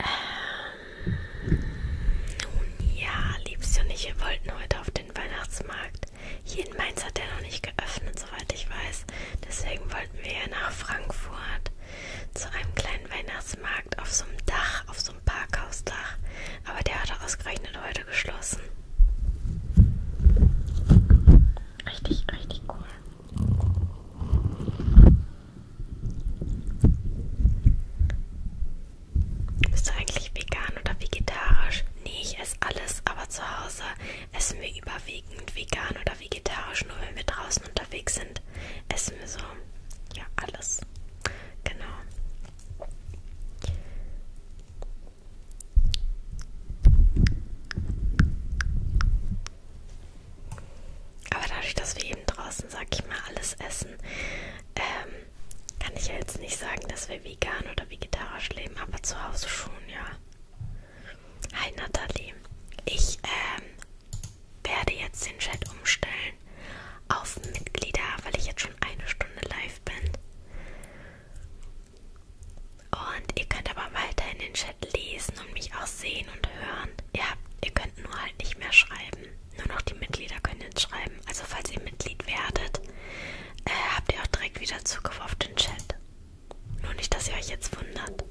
Ähm, nun ja, liebste und ich, wir wollten heute auf den Weihnachtsmarkt. Hier in Mainz hat der noch nicht geöffnet, soweit ich weiß. Deswegen wollten wir ja nach Frankfurt zu einem kleinen Weihnachtsmarkt auf so einem Dach, auf so einem Parkhausdach. Aber der hatte ausgerechnet heute geschlossen. Richtig, richtig cool. Bist du eigentlich vegan oder vegetarisch? Nee, ich esse alles, aber zu Hause Essen wir überwiegend vegan oder vegetarisch, nur wenn wir draußen unterwegs sind, essen wir so, ja, alles. Genau. Aber dadurch, dass wir eben draußen, sag ich mal, alles essen, ähm, kann ich ja jetzt nicht sagen, dass wir vegan oder vegetarisch leben, aber zu Hause schon, ja. Hi Nathalie. Ich ähm, werde jetzt den Chat umstellen auf Mitglieder, weil ich jetzt schon eine Stunde live bin. Und ihr könnt aber weiter in den Chat lesen und mich auch sehen und hören. Ihr, habt, ihr könnt nur halt nicht mehr schreiben. Nur noch die Mitglieder können jetzt schreiben. Also falls ihr Mitglied werdet, äh, habt ihr auch direkt wieder Zugriff auf den Chat. Nur nicht, dass ihr euch jetzt wundert.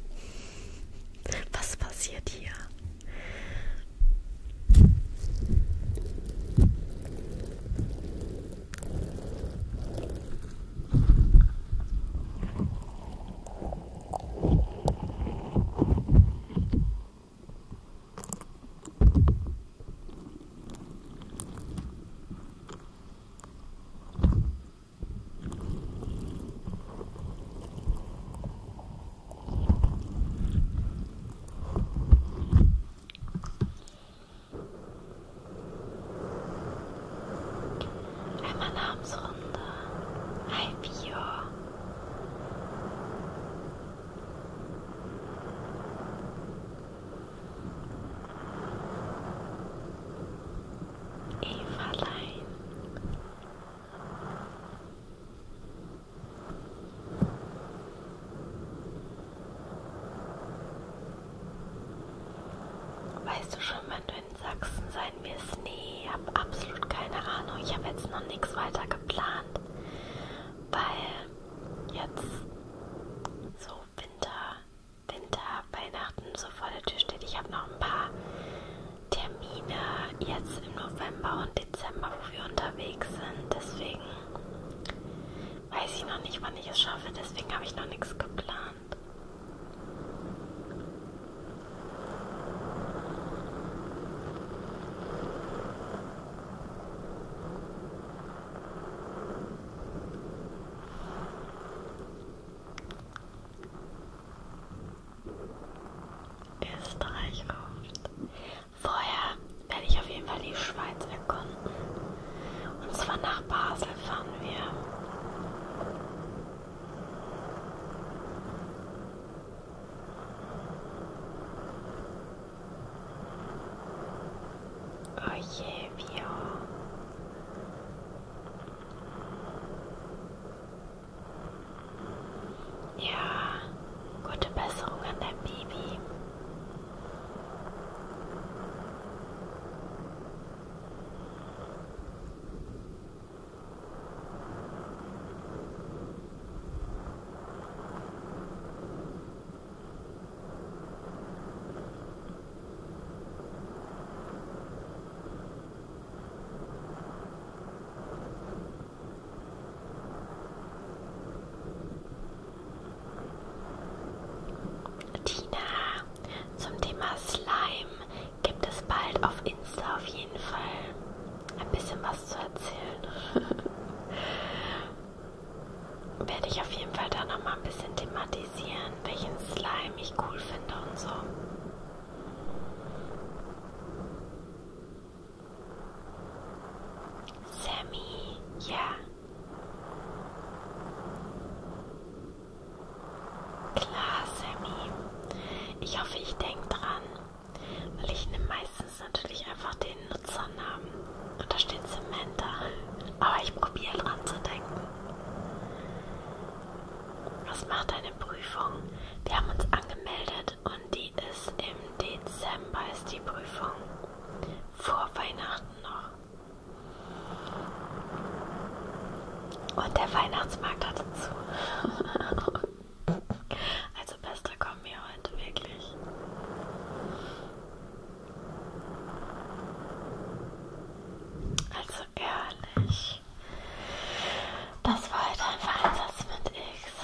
Was passiert hier? Einmal Namensrunde. Hi Bio. Evalein. Weißt du schon, wann du in Sachsen sein wirst? Nee, ich habe absolut keine Ahnung. Ich habe jetzt noch nichts weiter geplant, weil jetzt so Winter Winter, Weihnachten so vor der Tür steht. Ich habe noch ein paar Termine jetzt im November und Dezember, wo wir unterwegs sind. Deswegen weiß ich noch nicht, wann ich es schaffe. Deswegen habe ich noch nichts geplant. Österreich ruft. Vorher werde ich auf jeden Fall die Schweiz erkunden. Und zwar nach Basel fahren wir. Oh je, Bio. Ja, gute Besserung an dein Baby. Tina, zum Thema Slime gibt es bald auf Insta auf jeden Fall ein bisschen was zu erzählen. <laughs> werde ich auf jeden Fall da nochmal ein bisschen thematisieren, welchen Slime ich cool finde und so. Sammy, ja. Klar, Sammy. Ich hoffe, ich denke dran. Weil ich nehme meistens natürlich einfach den Nutzernamen. Und da steht Samantha. Aber ich probiere dran zu denken. Was macht eine Prüfung? Wir haben uns angemeldet und die ist im Dezember, ist die Prüfung. Vor Weihnachten noch. Und der Weihnachtsmarkt hatte zu. <laughs> also bester kommen wir heute wirklich. Also ehrlich, das war halt einfach ein Satz mit X.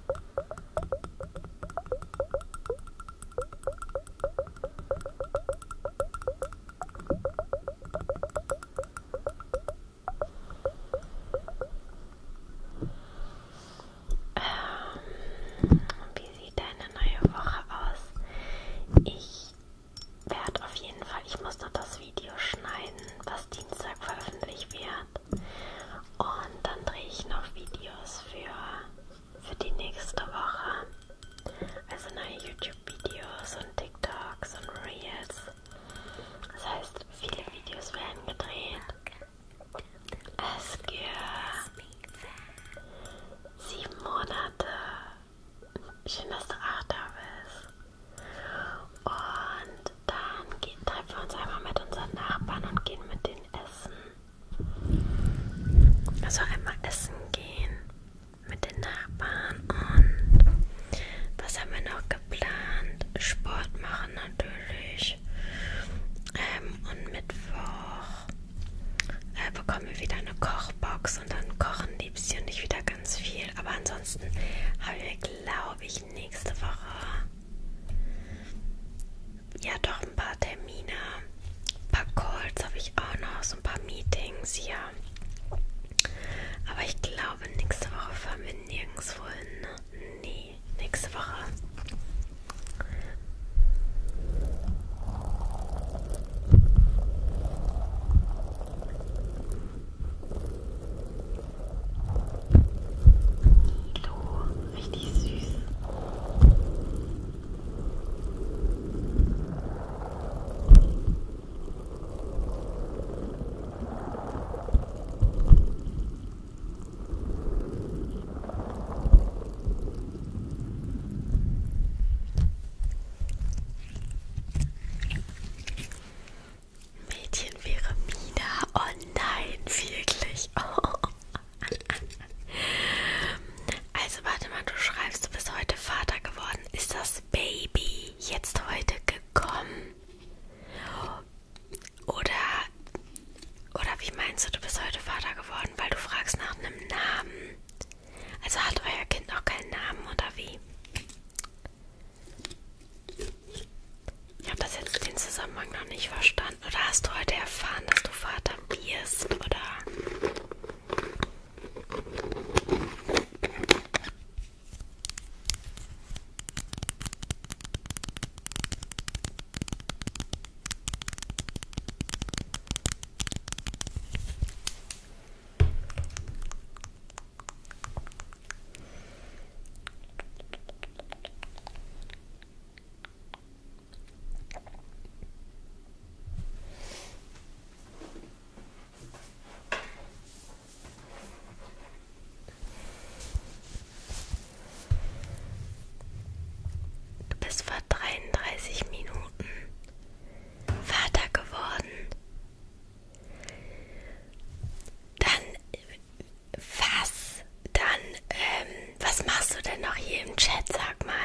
Ähm, wie sieht deine neue Woche aus? Ich werde auf jeden Fall, ich muss noch das Video schneiden, was Dienstag veröffentlicht wird. Und dann drehe ich noch Videos für, für die nächste Woche. Also neue YouTube-Videos und TikToks und Reels. Das heißt, viele Videos werden gedreht. Es gibt sieben Monate. Schön, dass du auch da bist. Und dann gehen, treffen wir uns einmal mit unseren Nachbarn und gehen mit denen essen. Also einmal essen gehen mit den Nachbarn und was haben wir noch geplant? Sport machen natürlich. Ähm, und Mittwoch äh, bekommen wir wieder eine Kochbox und dann kochen Liebste und ich wieder ganz viel. Aber ansonsten haben wir, glaube ich, nächste Woche ja, doch ein paar Termine, ein paar Calls habe ich auch noch, so ein paar Meetings hier. Aber ich glaube, nächste Woche fahren wir nirgendwo hin. Nee, nächste Woche. Du, richtig süß. Mädchen Pyramide. Oh nein, wirklich. Oh. Also warte mal, du schreibst, du bist heute Vater geworden. Ist das Baby jetzt heute gekommen? Oder, oder wie meinst du, du bist heute Vater geworden, weil du fragst nach einem Namen? Also hat euer Kind noch keinen Namen oder wie? Ich habe das jetzt den Zusammenhang noch nicht verstanden erfahren oder hast du heute erfahren, dass du Vater wirst oder? Du bist vor 33 Minuten Vater geworden. Dann was? Dann, ähm, was machst du denn noch hier im Chat, sag mal?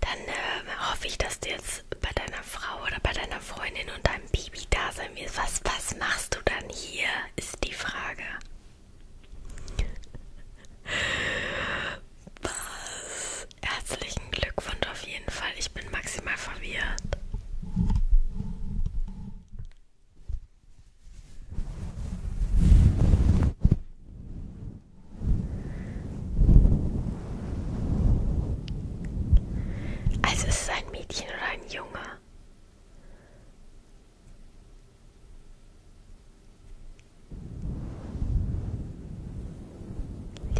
Dann ähm, hoffe ich, dass du jetzt bei deiner Frau oder bei deiner Freundin und deinem Baby da sein wirst. Was, was machst du dann hier, ist die Frage. Was? Herzlichen Glückwunsch auf jeden Fall. Ich bin maximal verwirrt. Also ist es ein Mädchen oder ein Junge?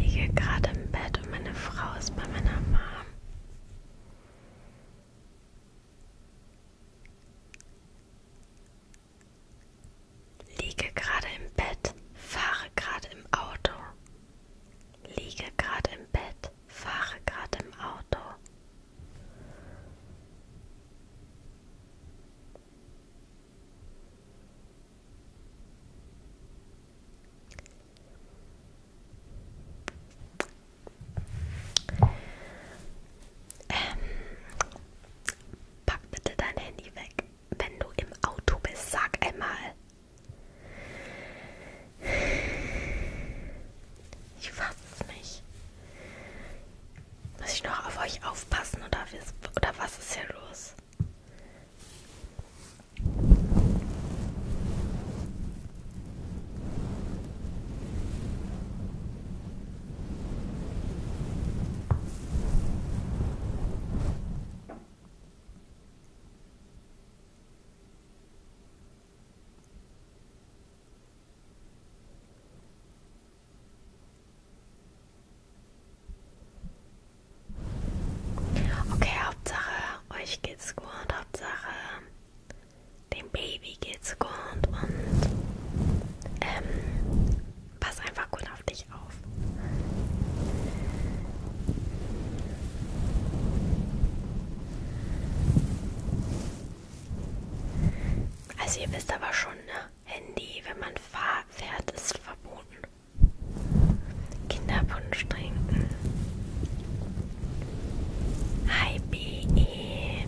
Ich liege gerade im Bett und meine Frau ist bei meiner Mom. Liege gerade im Bett, fahre gerade im Auto. Liege gerade im Bett, fahre gerade im Auto. Ähm, Pack bitte dein Handy weg. Wenn du im Auto bist, sag einmal. Ich fasse es nicht. Muss ich noch auf euch aufpassen oder, oder was ist hier los? Okay, Hauptsache, euch geht's gut, Hauptsache, dem Baby geht's gut und ähm, Pass einfach gut auf dich auf. Also ihr wisst aber schon, ne? Handy, wenn man fahr fährt, ist verboten. Kinderpunsch trinken. Hi BE.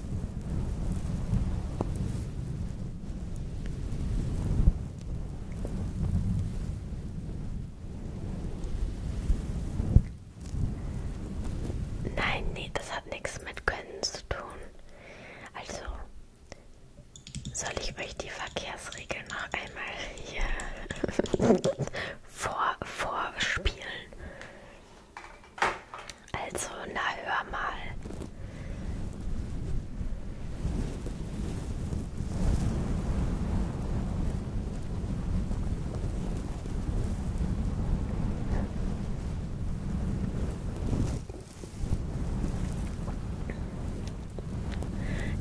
Nein, nee, das hat nichts mit Können zu tun. Also, soll ich euch die Verkehrsregeln noch einmal hier <laughs> vor, vorspielen? Also, na hör mal.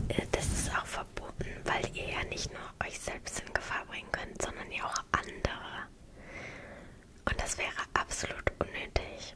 Äh, das ist auch verboten, weil ihr ja nicht nur euch selbst in Gefahr bringen könnt, sondern ja auch andere. Und das wäre absolut unnötig.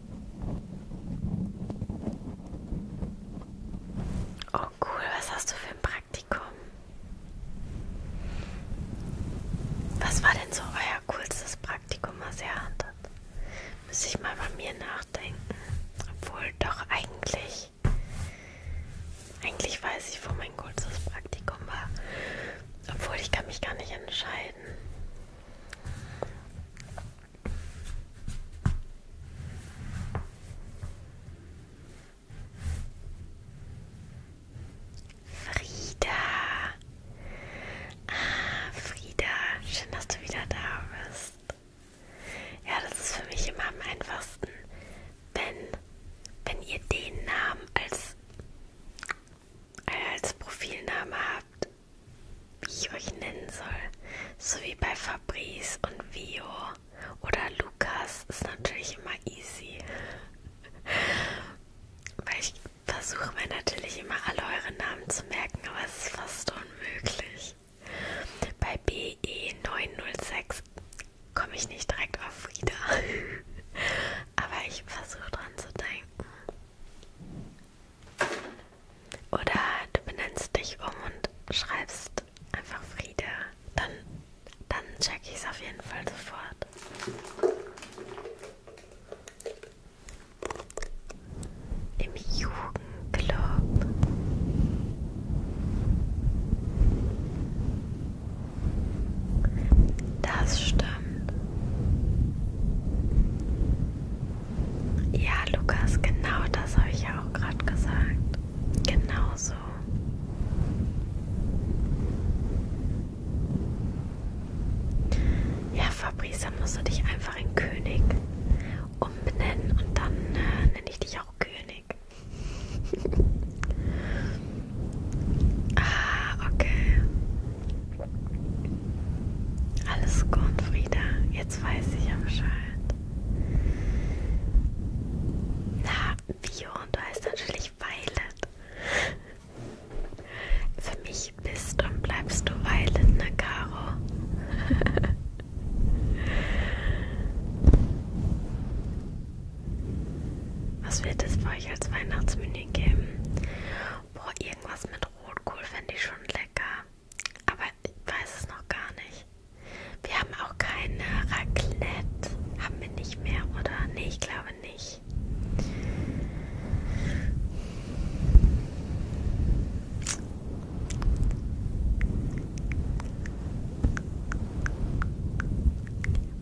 Oh cool, was hast du für ein Praktikum? Was war denn so euer coolstes Praktikum, was ihr hattet? Müsste ich mal bei mir nachdenken. Obwohl doch eigentlich. Eigentlich weiß ich, wo mein kurzes Praktikum war. Obwohl ich kann mich gar nicht entscheiden. Frieda. Ah, Frieda, schön, dass du wieder da bist. Ja, das ist für mich immer am einfachsten, wenn, wenn ihr den Namen als, als Profilname habt wie ich euch nennen soll. So wie bei Fabrice und Vio oder Lukas ist natürlich immer easy. Weil ich versuche mir natürlich immer alle eure Namen zu merken, aber es ist fast unmöglich. Bei BE906 komme ich nicht direkt auf Frieda. <laughs> aber ich versuche dran zu denken. Oder du benennst dich um und schreibst einfach Friede. Dann, dann check ich es auf jeden Fall sofort. Im Jugendclub. Das stimmt. Ja, Lukas, genau das habe ich ja auch gerade gesagt. Genau so. Ja, Fabrice, dann musst du dich einfach in König umbenennen und dann äh, nenne ich dich auch König. <laughs> ah, okay. Alles gut, Frieda. Jetzt weiß ich ja Bescheid. Na, Bio und du heißt natürlich Violet. Für mich bist und bleibst du Violet, ne, Caro? <laughs> Was wird es für euch als Weihnachtsmenü geben? Boah, irgendwas mit Rotkohl fände ich schon lecker. Aber ich weiß es noch gar nicht. Wir haben auch keine Raclette. Haben wir nicht mehr, oder? Nee, ich glaube nicht.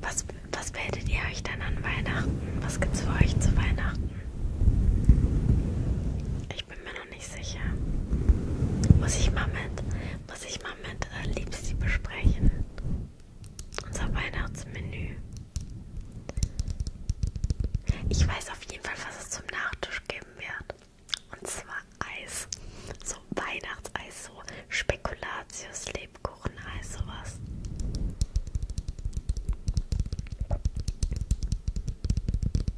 Was, was werdet ihr euch dann an Weihnachten? Was gibt's für euch zu Weihnachten? Ich bin mir noch nicht sicher. Muss ich mal mit, muss ich mal mit äh, Liebstie besprechen. Unser Weihnachtsmenü. Ich weiß auf jeden Fall, was es zum Nachtisch geben wird. Und zwar Eis. So Weihnachtseis, so Spekulatius, Lebkucheneis, sowas.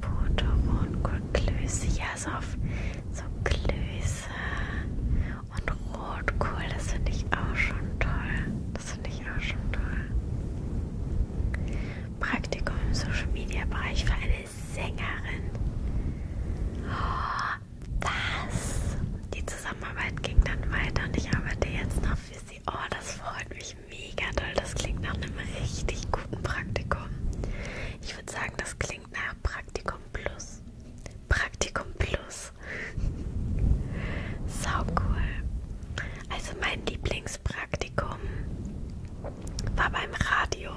Portobon Klöße, ja, so, auf, so Klöße und Rotkohl, das finde ich auch schon toll. Das finde ich auch schon toll. Praktikum im Social Media Bereich für eine Sängerin. Oh, was? Die Zusammenarbeit ging dann weiter und ich arbeite jetzt noch für sie. Oh, das freut mich mega doll. Das klingt nach einem richtig guten Praktikum. Ich würde sagen, das klingt nach Praktikum Plus. Praktikum Plus. Sau cool. Also mein Lieblingspraktikum war beim Radio.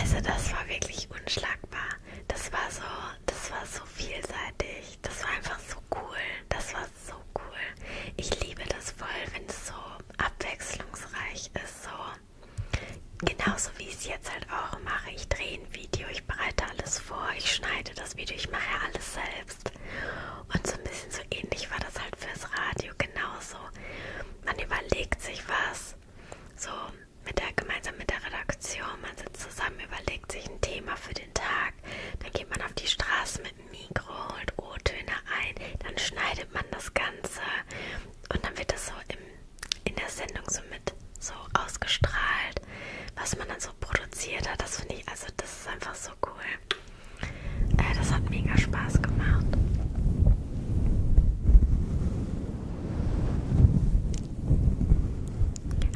Also das war wirklich wirklich unschlagbar. Das war so, das war so vielseitig. Das war einfach so cool. Das war so cool. Ich liebe das voll, wenn es so abwechslungsreich ist. So genauso wie ich es jetzt halt auch mache. Ich drehe ein Video, ich bereite alles vor, ich schneide das Video, ich mache alles selbst. Und so ein bisschen so ähnlich war das halt fürs Radio genauso. Man überlegt sich was. So, mit der, gemeinsam mit der Redaktion. Man sitzt zusammen, überlegt sich ein Thema für den Tag. Dann geht man auf die Straße mit dem Mikro, holt O-Töne ein. Dann schneidet man das Ganze. Und dann wird das so im, in der Sendung so mit so ausgestrahlt, was man dann so produziert hat. Das finde ich, also das ist einfach so cool. Äh, das hat mega Spaß gemacht.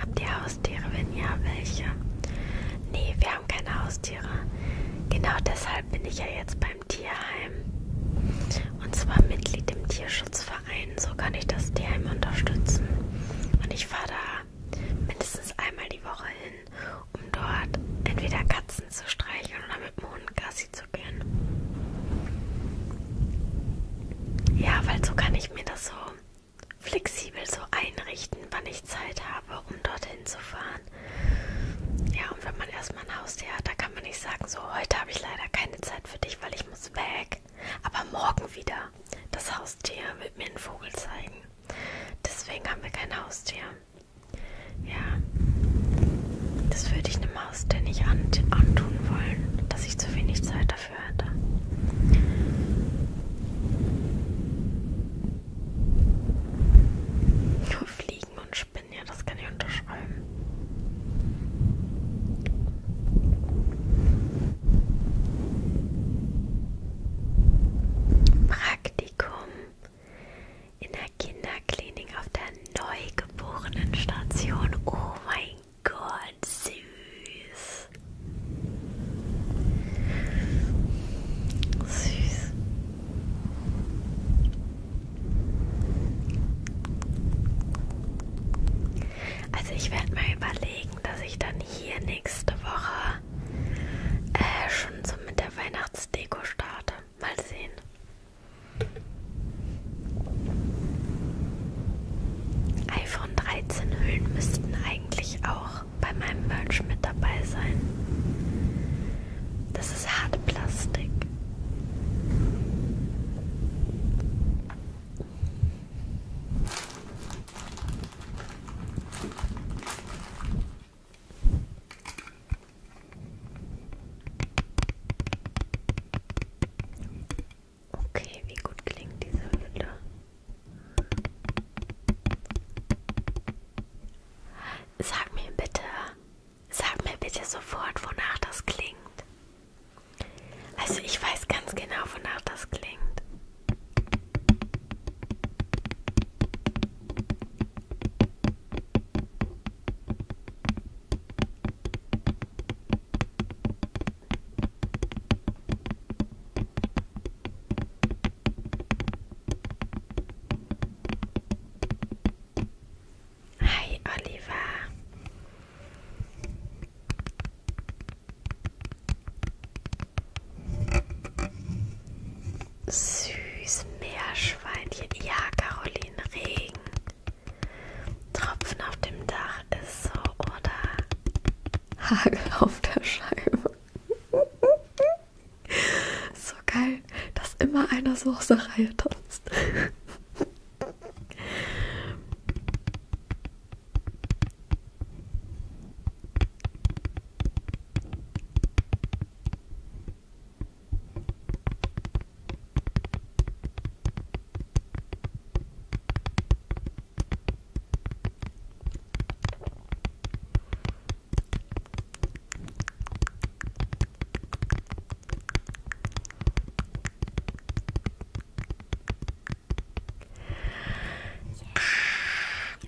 Habt ihr Haustiere, wenn ja, welche? Nee, wir haben keine Haustiere. Genau deshalb bin ich ja jetzt beim Tierheim. Und zwar Mitglied im Tierschutzverein. So kann ich das Tierheim unterstützen. Und ich fahre da mindestens einmal die Woche hin, um dort entweder Katzen zu streicheln oder mit dem Hund Gassi zu so gern. Ja, weil so kann ich mir das so flexibel so einrichten, wann ich Zeit habe, um dorthin zu fahren. Ja, und wenn man erstmal ein Haustier hat, da kann man nicht sagen, so heute habe ich leider keine Zeit für dich, weil ich muss weg. Aber morgen wieder. Das Haustier wird mir einen Vogel zeigen. Deswegen haben wir kein Haustier. Ja, das würde ich einem Maus dir nicht an, antun wollen, dass ich zu wenig Zeit dafür hätte. Nur Fliegen und Spinnen, ja, das kann ich unterschreiben. Praktikum in der Kinderklinik auf der Neugeborenenstation. Oh mein Gott, süß. Süß. Also ich werde mal überlegen, dass ich dann hier nächste Woche äh, schon so mit der Weihnachtsdeko starte. Mal sehen iPhone 13 Hüllen müssten eigentlich auch bei meinem Merch mit dabei sein. Das ist Hartplastik. Okay, wie gut klingt diese Hülle? Sag mir bitte, sag mir bitte sofort, wonach das klingt. Also ich weiß ganz genau, wonach das klingt. Hi Oliver. Süß Meerschweinchen. Ja, Caroline Regen. Tropfen auf dem Dach ist so oder Hagel auf der Scheibe. so geil, dass immer einer so aus der Reihe tanzt.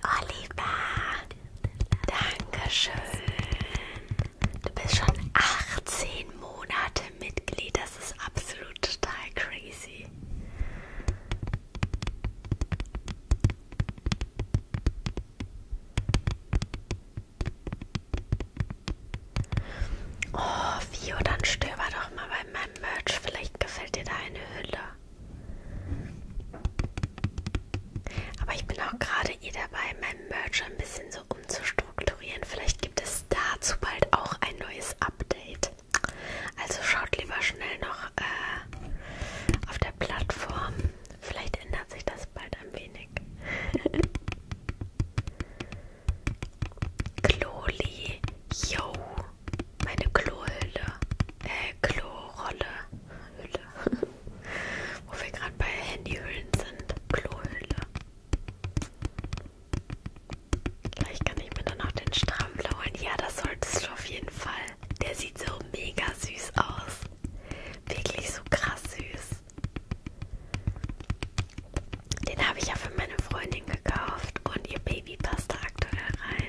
Oliver, danke schön. Du bist schon 18 Monate Mitglied. Das ist absolut total crazy. Oh, Vio, dann stöber doch mal bei meinem Merch. Vielleicht gefällt dir da eine Hülle. Aber ich bin auch gerade eh dabei, mein Merch ein bisschen so umzustrukturieren. Vielleicht gibt es dazu bald auch ein neues Update. Also schaut lieber schnell noch äh, auf der Plattform. Vielleicht ändert sich das bald ein wenig. Kloli, <laughs> yo, meine Klohülle, äh, Klorolle, Hülle, <laughs> wo wir gerade bei Handyhüllen sind, Klohülle. Gleich kann ich mir dann noch den Strampler holen. Ja, das solltest du auf jeden Fall. Der sieht so mega süß aus. Wirklich so krass süß. Den habe ich ja für meine Freundin gekauft und ihr Baby passt da aktuell rein.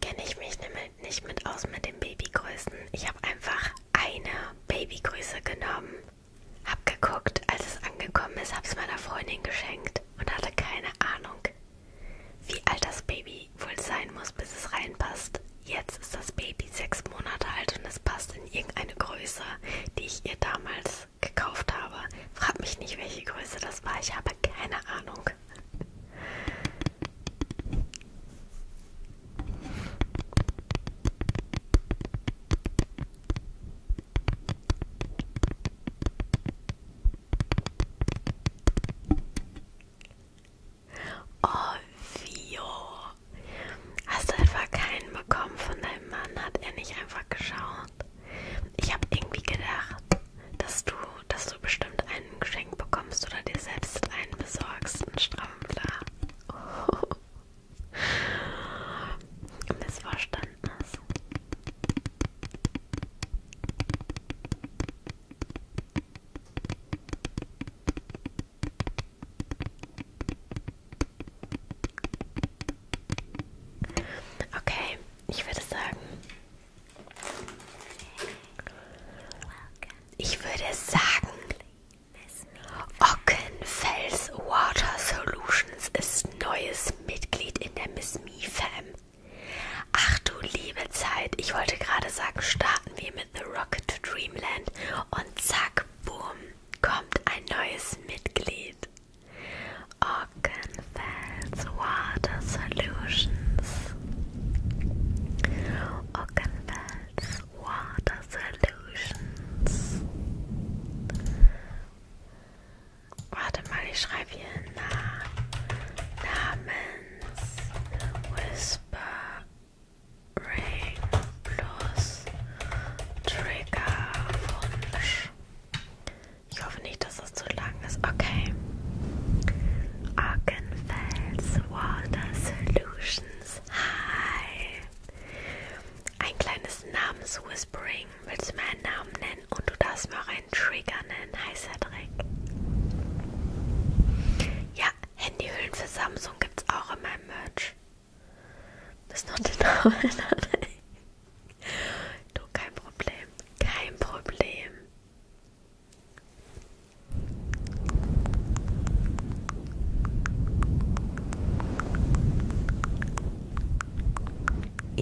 Kenne ich mich nicht mit aus mit den Babygrößen. Ich habe einfach eine Babygröße genommen, habe geguckt, als es angekommen ist, habe es meiner Freundin geschenkt und hatte keine Ahnung, wie alt das Baby wohl sein muss, bis es reinpasst. Jetzt ist das Baby sechs Monate alt und es passt in irgendeine Größe, die ich ihr damals das gekauft habe. Frag mich nicht, welche Größe das war. Ich habe keine Ahnung. Oh, Vio. Hast du etwa keinen bekommen von deinem Mann? Hat er nicht einfach geschaut? Ich habe irgendwie gedacht, dass du, dass du bestimmt ein Geschenk bekommst oder dir selbst einen besorgst, einen Strampler. <laughs> Oh. Missverständnis. Okay, ich würde sagen, ich würde sagen, Ockenfels Water Solutions ist neues Mitglied in der Miss Me Fam. Ach du liebe Zeit, ich wollte gerade sagen, starten wir mit The Rocket to Dreamland und zack, boom, kommt ein neues Mitglied. Ockenfels Water Solutions. Ockenfels Water Solutions. Warte mal, ich schreibe hier Na Namens Whispering plus Triggerwunsch. Ich hoffe nicht, dass das zu lang ist. Okay. Arkenfels Water Solutions. Hi. Ein kleines Namenswhispering. Willst du mir einen Namen nennen? Und du darfst mir auch einen Trigger nennen. Heißer Dreck. Ja, Handyhüllen für Samsung gibt's auch in meinem Merch. Das ist noch der Name. Du, kein Problem. Kein Problem.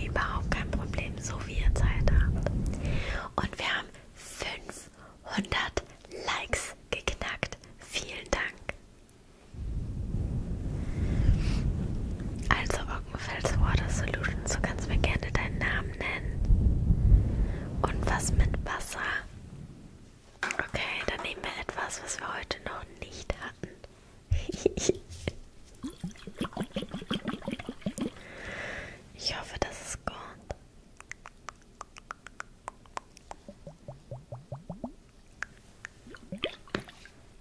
Überhaupt kein Problem, so wie ihr Zeit habt. Und wir haben 500 Likes geknackt. Vielen Dank. Also, Water Solutions, so kannst mir gerne deinen Namen nennen. Und was mit Wasser? Okay, dann nehmen wir etwas, was wir heute noch nicht hatten. <laughs> ich hoffe, das ist gut.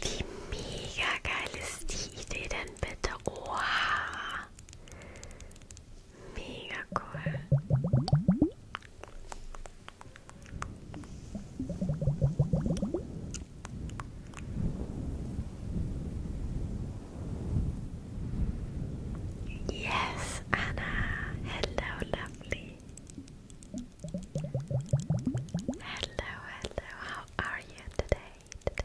Wie mega geil ist die Idee denn bitte? Oha! Mega cool. Yes, Anna. Hello, lovely. Hello, hello. How are you today?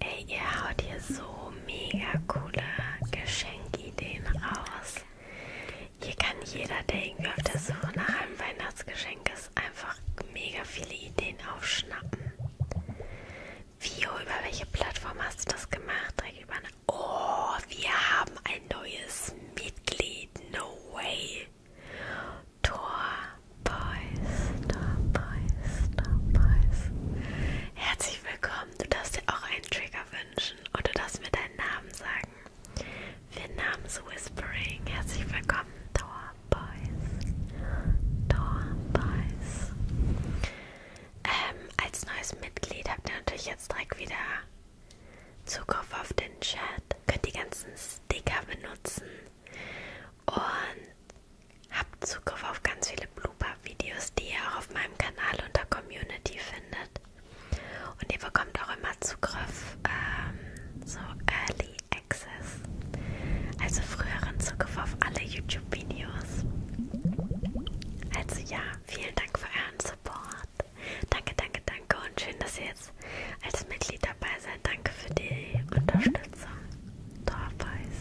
Ey, ihr haut hier so mega coole Geschenkideen raus. Hier kann jeder, der irgendwie auf der Suche nach einem Weihnachtsgeschenk ist, einfach mega viele Ideen aufschnappen. Vio, über welche Plattform hast du das gemacht? Direkt über eine oh, wir haben ein neues Mitglied. No way. Tor Boys, Tor Boys, Tor Boys. Herzlich willkommen. Du darfst dir auch einen Trigger wünschen und du darfst mir deinen Namen sagen. Wir Namens Whispering. Herzlich willkommen, Tor Boys. Tor Boys. Ähm, als neues Mitglied habt ihr natürlich jetzt direkt wieder Zugriff auf den Chat. Könnt die ganzen Sticker benutzen und habt Zugriff auf ganz viele Blooper-Videos, die ihr auch auf meinem Kanal unter Community findet. Und ihr bekommt auch immer Zugriff, ähm, so Early Access, also früheren Zugriff auf alle YouTube-Videos. Also ja, vielen Dank für euren Support. Danke, danke, danke und schön, dass ihr jetzt als Mitglied dabei seid. Danke für die Unterstützung. Torfeis.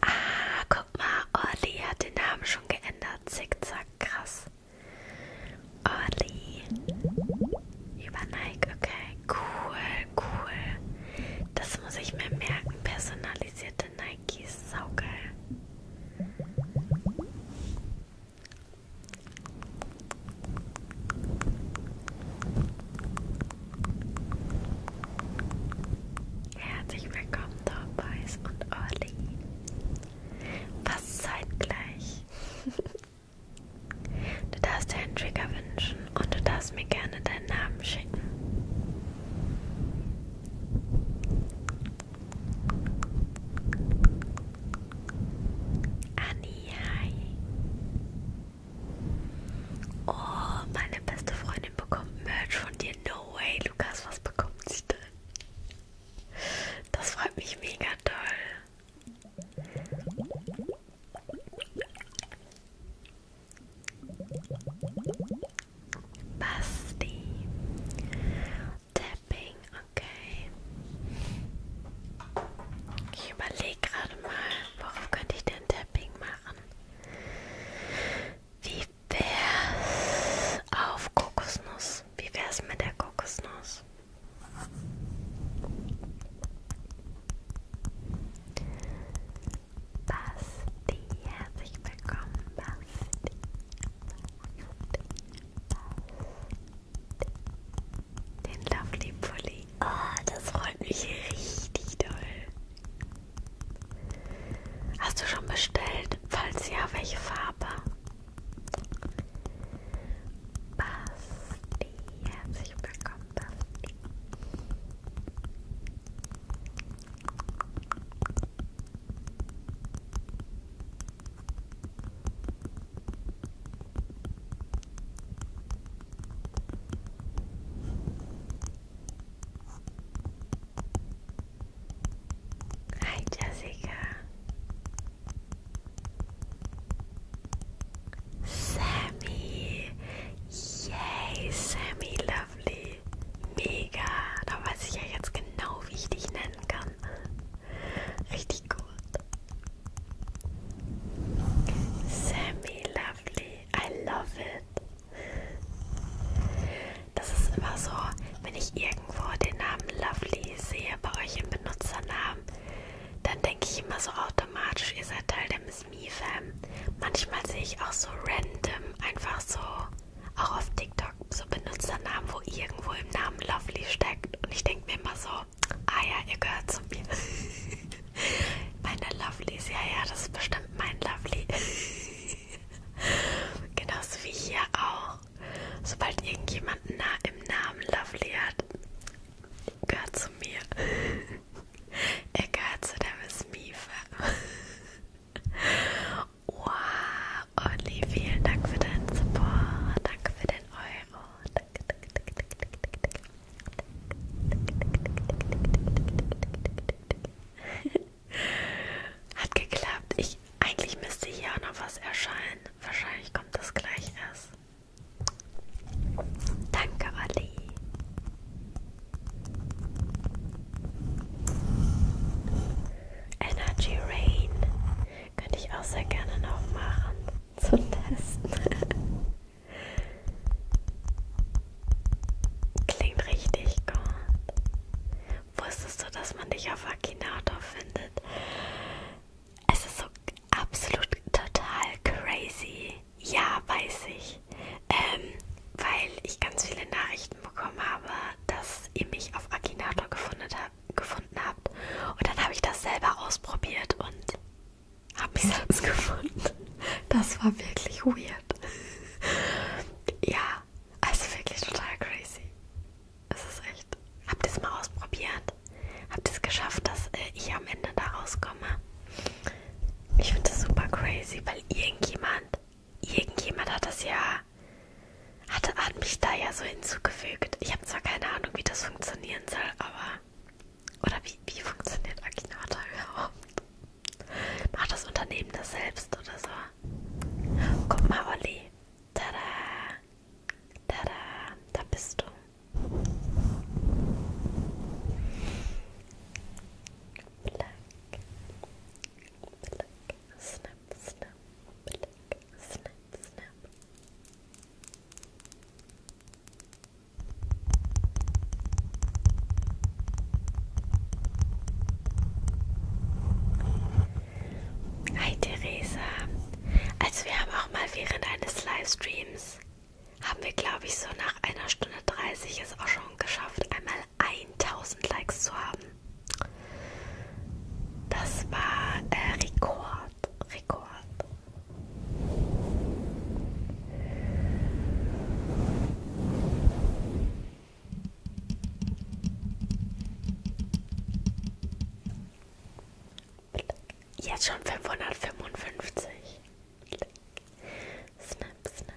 Ah, guck mal, Orly hat den Namen schon geändert. Zickzack, krass. Orly. Über Nike, okay, cool cool. Das muss ich mir merken. Personalisierte Nikes, saugeil. Herzlich willkommen, Dorfboys und Olli. Fast zeitgleich. <laughs> Du darfst dir einen Trigger wünschen. Und du darfst mir gerne deinen Namen schicken. Annie, hi. Oh, meine beste Freundin bekommt Merch von dir. No way, Lukas, was bekommt sie denn? Das freut mich mega toll. Basti. Tapping, okay. Ich überlege gerade mal, worauf könnte ich denn Tapping machen? Wie wär's auf Kokosnuss? Wie wär's mit der Kokosnuss? Basti, herzlich willkommen, Basti. Basti. Den Lovely Pulli. Oh, ah, das freut mich richtig doll. Hast du schon bestellt? Falls ja, welche Farbe? Basti, herzlich willkommen, Basti. Hi, Jessica. Sammy. Yay, Sammy, lovely. Mega. Da weiß ich ja jetzt genau, wie ich dich nennen kann. Richtig gut. Sammy Lovely. I love it. Das ist immer so, wenn ich irgendwo den Namen Lovely sehe bei euch im Benutzernamen, dann denke ich immer so automatisch, ihr seid Teil der das Miese. Ähm. Manchmal sehe ich auch so random, einfach so, auch auf TikTok, so Benutzernamen, wo irgendwo im Namen Lovely steckt. Und ich denke mir immer so, ah ja, ihr gehört zu mir. <laughs> Meine Lovelies, ja, ja, das ist bestimmt mein Lovely. <laughs> Genauso wie hier auch. Sobald irgendjemand na im Namen Lovely hat, gehört zu mir. <laughs> er gehört zu der Miss Miefe. Wow, Olli, vielen Dank für deinen Support. Danke für den Euro. Danke, danke, danke, danke, danke, danke. Hat geklappt. Ich, eigentlich müsste hier auch noch was erscheinen. Wahrscheinlich kommt das gleich erst. Danke, Olli. Energy Rain könnte ich auch sehr gerne noch machen zum Testen. <laughs> Klingt richtig gut. Wusstest du, dass man dich auf Akinator findet? Es ist so absolut total crazy. Ja, weiß ich. Ähm, weil ich ganz viele Nachrichten Nachrichten bekommen habe, dass ihr mich auf Akinator gefunden, hab, gefunden habt. Und dann habe ich das selber ausprobiert und habe mich <laughs> selbst gefunden. Das war wirklich weird. Ja, also wirklich total crazy. Es ist echt. Habt ihr es mal ausprobiert? Habt ihr es geschafft, dass äh, ich am Ende da rauskomme? Ich finde das super crazy, weil irgendjemand irgendjemand hat das ja, hat, hat mich da ja so hinzugefügt. Ich habe zwar keine Ahnung, wie das funktionieren soll, aber, oder wie, wie funktioniert Akinata überhaupt? Macht das Unternehmen das selbst oder so? Guck mal, Olli. Tada! Tada! Da bist du. Plack. Flick, snip, snip, flick, snip, snip. Hi Theresa. Also wir haben auch mal während eines Livestreams haben wir glaube ich so nach einer Stunde 30 es auch schon geschafft, einmal 1000 Likes zu haben. Das war äh, Rekord, Rekord. Jetzt schon 555. Snap, snap.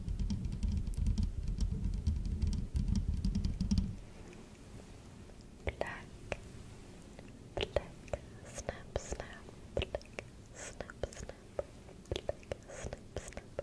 Black, black, snap, snap, black, snap, snap, black, snap, snap.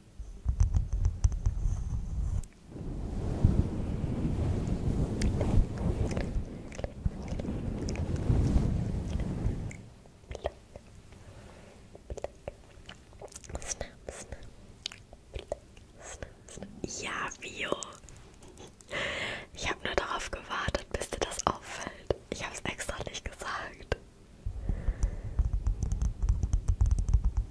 Ja, Bio. Ich habe nur darauf gewartet, bis dir das auffällt. Ich habe es extra nicht gesagt.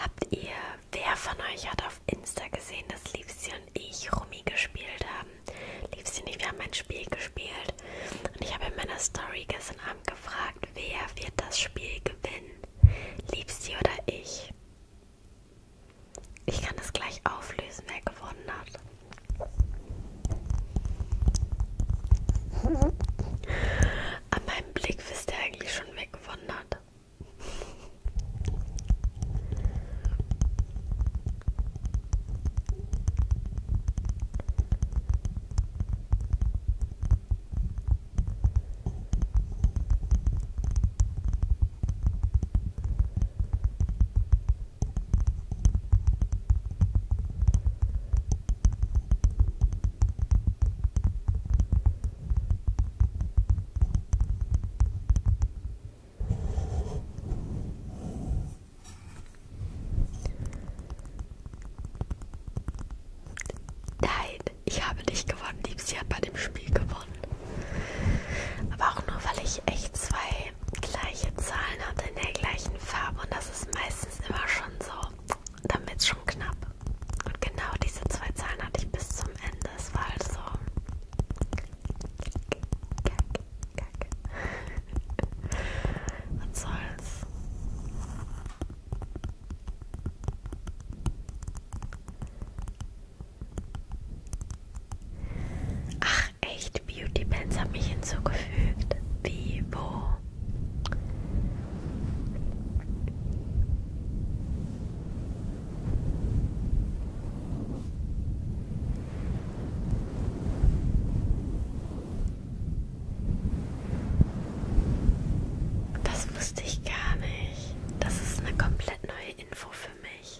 Habt ihr, wer von euch hat auf Insta gesehen, dass Liebsten und ich Rummi gespielt haben? Liebsten und ich, wir haben ein Spiel gespielt. Und ich habe in meiner Story gestern Abend gefragt, wer wird das Spiel gewinnen? Liebst oder ich? Ich kann es gleich auflösen, wer gewonnen hat. <laughs> An meinem Blick wisst ihr eigentlich schon, wer gewonnen hat. Nein, ich habe nicht gewonnen. Liebsi hat bei dem Spiel gewonnen. Aber auch nur, weil ich echt zwei gleiche Zahlen hatte in der gleichen Farbe und das ist meistens immer schon so, damit es schon knapp. Und genau diese zwei Zahlen hatte ich bis zum Ende. Es war halt so. Was soll's? Ach, echt? Beauty Pants hat mich hinzugefügt. Wie? Wo? Das wusste ich gar nicht. Das ist eine komplett neue Info für mich.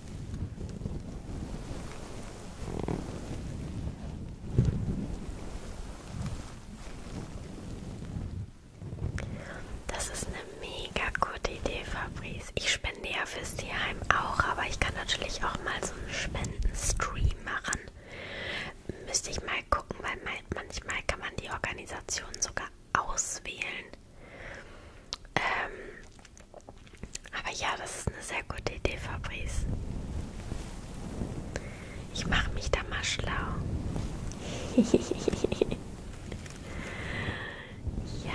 Das ist eine mega gute Idee, Fabrice. Ich spende ja fürs Tierheim auch, aber ich kann natürlich auch mal so einen Spendenstream machen. Müsste ich mal gucken, weil manchmal kann man die Organisation sogar auswählen. Ähm, aber ja, das ist eine sehr gute Idee, Fabrice. Ich mache mich da mal schlau. <laughs> ja.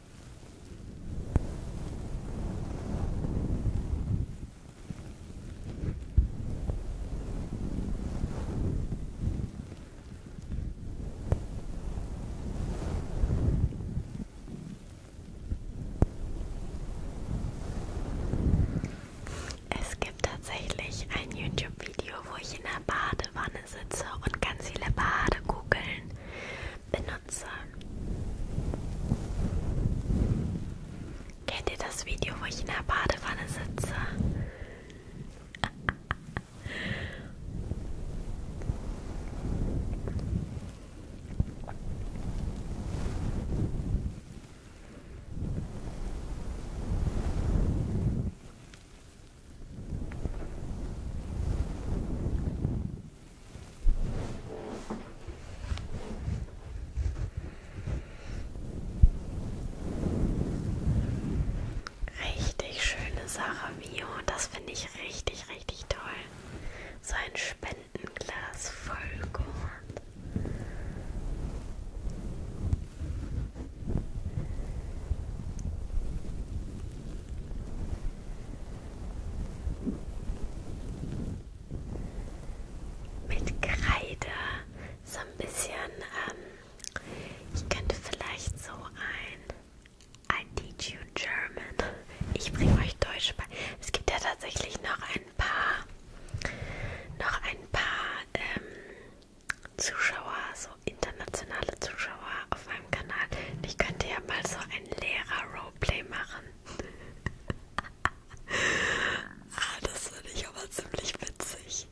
Es gibt tatsächlich ein YouTube-Video, wo ich in der Badewanne besitze und ganz viele Badekugeln benutze. Kennt ihr das Video, wo ich in der Badewanne sitze? Richtig schöne Sache, Mio. Das finde ich richtig, richtig toll. So ein Spendenglas voll gut. Mit Kreide, so ein bisschen, ähm, ich könnte vielleicht so ein I teach you German. Ich bringe euch Deutsch bei. Es gibt ja tatsächlich noch ein paar, noch ein paar ähm, Zuschauer, so so internationale Zuschauer auf meinem Kanal. Ich könnte ja mal so ein Lehrer-Roleplay machen. <laughs> ah, das finde ich aber ziemlich witzig.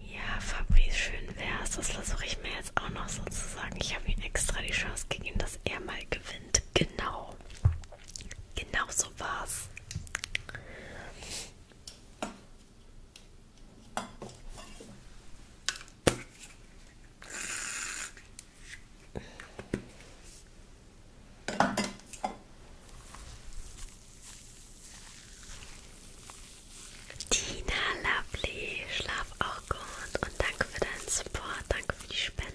Ja, Fabrice, schön wär's. Das versuche ich mir jetzt auch noch so zu sagen. Ich habe ihm extra die Chance gegeben, dass er mal gewinnt. Genau. Genau so war's. Tina, lovely, schlaf auch gut und danke für deinen Support, danke für die Spende.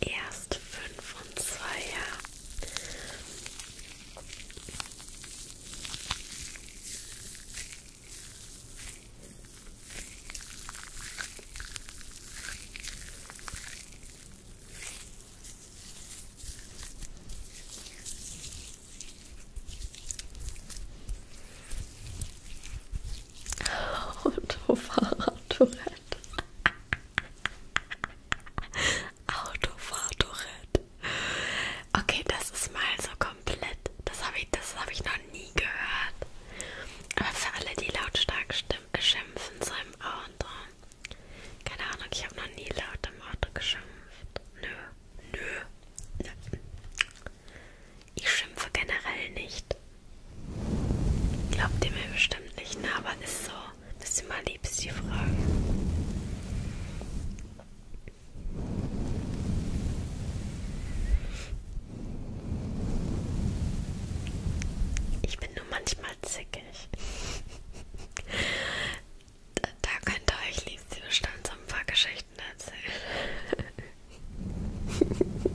erst fünf und zwei, ja. Autofahrradtourette. <laughs> Autofahrtourette. Okay, das ist mal so komplett. Das habe ich, das hab ich noch nie gehört. Aber für alle, die lautstark schimpfen, so im Auto. Keine Ahnung, ich habe noch nie laut im Auto geschimpft. Nö, nö. nö. Ich schimpfe generell nicht. Glaubt ihr mir bestimmt nicht, ne? aber ist so. Das ist immer lieb, ist die Frage. Ich bin nur manchmal zickig. <laughs> da, da könnt ihr euch Lieschen bestimmt so ein paar Geschichten erzählen.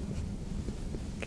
<laughs>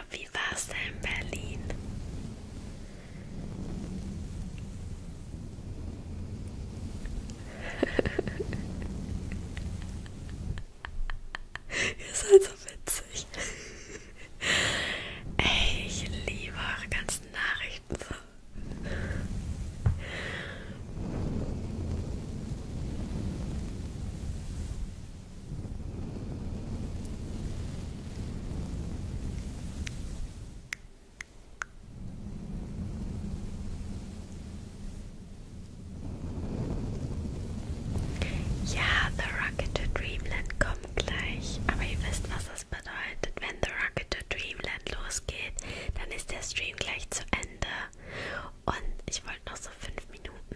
Urlaub. Wie war's da in Berlin? <laughs> Ihr seid so witzig. Ey, ich liebe eure ganzen Nachrichten so. Ja, The Rocket to Dreamland kommt gleich, aber ihr wisst, was das bedeutet. Wenn The Rocket to Dreamland losgeht, dann ist der Stream gleich zu Ende. Und ich wollte noch so fünf Minuten.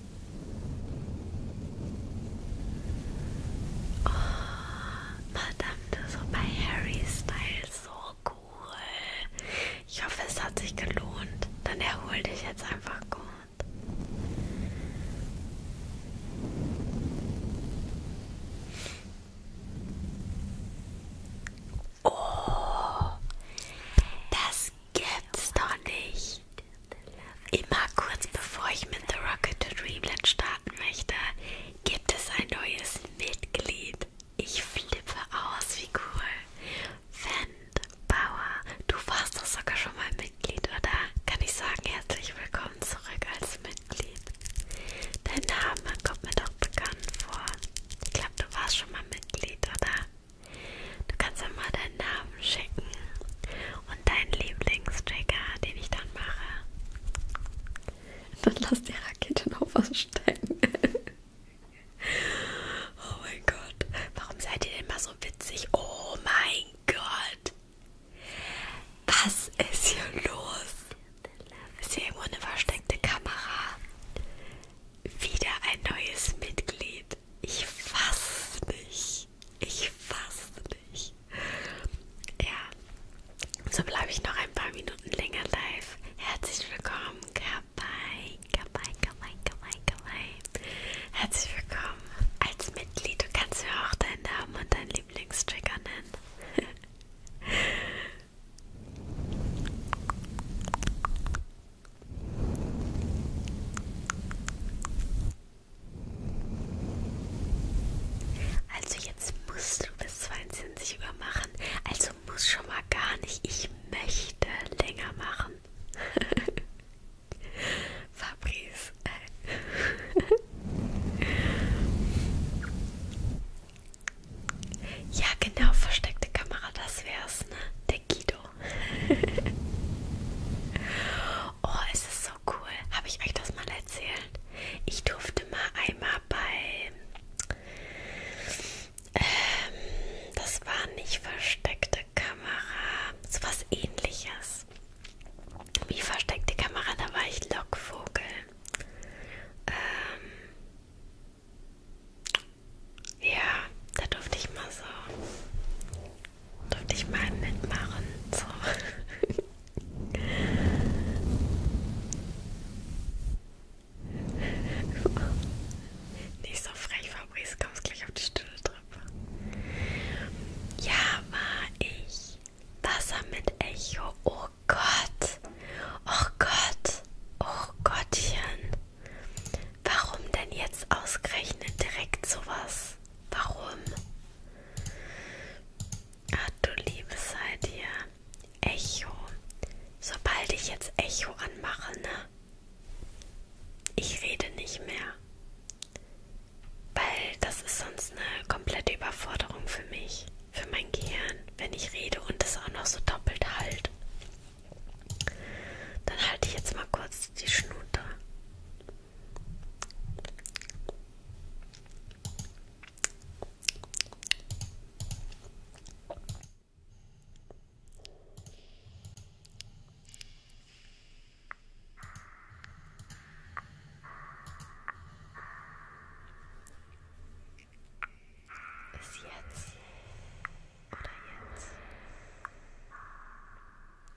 Oh, verdammt, das war bei Harry Styles so cool. Ich hoffe, es hat sich gelohnt. Dann erhol dich jetzt einfach gut. Oh, das gibt's doch nicht. Immer kurz bevor ich mit The Rocket to Dreamland starten möchte, gibt es ein neues Mitglied. Ich flippe aus, wie cool. Fend Bauer, du warst doch sogar schon mal Mitglied, oder? Kann ich sagen, herzlich willkommen zurück als Mitglied. Dein Name kommt mir doch bekannt vor. Ich glaube, du warst schon mal Mitglied, oder? Du kannst ja mal deinen Namen schicken und dein Lieblingstrigger, den ich dann mache. Dann lass die Rakete noch was stecken. <laughs> oh mein Gott. Warum seid ihr denn immer so witzig? Oh mein Gott. Was ist hier los? Ist hier irgendwo eine versteckte Kamera? Wieder ein neues Mitglied. Ich fass nicht nicht. Ich fasse nicht. Ja, so bleibe ich noch ein paar Minuten länger live. Herzlich willkommen, Kabai, Kabai, Kabai, Kabai, Kabai. Herzlich willkommen als Mitglied. Du kannst mir auch deinen Namen und deinen Lieblingstrigger nennen. Also jetzt musst du bis 22 Uhr machen. Also muss schon mal gar nicht. Ich möchte länger machen. <laughs> Fabrice. <laughs> ja, genau, versteckte Kamera, das wär's, ne? Der Guido. <laughs> oh, es ist so cool. Habe ich euch das mal erzählt? Ich durfte mal einmal bei... Ähm, das war nicht versteckte Kamera, so was ähnliches. Wie versteckte Kamera, da war ich Lockvogel. Ähm, ja, da durfte ich mal so durfte ich mal mitmachen. So. Nicht so frech, Fabrice, kommst gleich auf die stille Treppe. Ja, war ich. Wasser mit Echo. Oh Gott. Oh Gott. Oh Gottchen. Warum denn jetzt ausgerechnet direkt sowas? Warum? Ach du liebe Zeit hier. Echo. Sobald ich jetzt Echo anmache, ne? Ich rede nicht mehr. Weil das ist sonst eine komplette Überforderung für mich, für mein Gehirn, wenn ich rede und das auch noch so doppelt halt. Dann halte ich jetzt mal kurz die Schnute. Ist jetzt oder jetzt?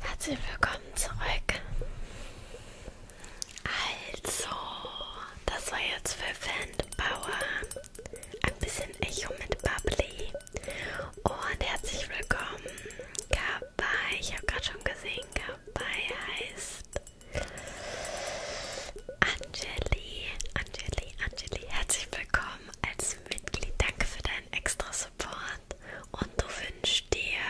Herzlich willkommen zurück. Also, das war jetzt für Fanbauer ein bisschen Echo mit Bubbly. Und herzlich willkommen, Kabai. Ich habe gerade schon gesehen, Kabai heißt Angeli, Angeli, Angeli, herzlich willkommen als Mitglied. Danke für deinen extra Support. Und du wünschst dir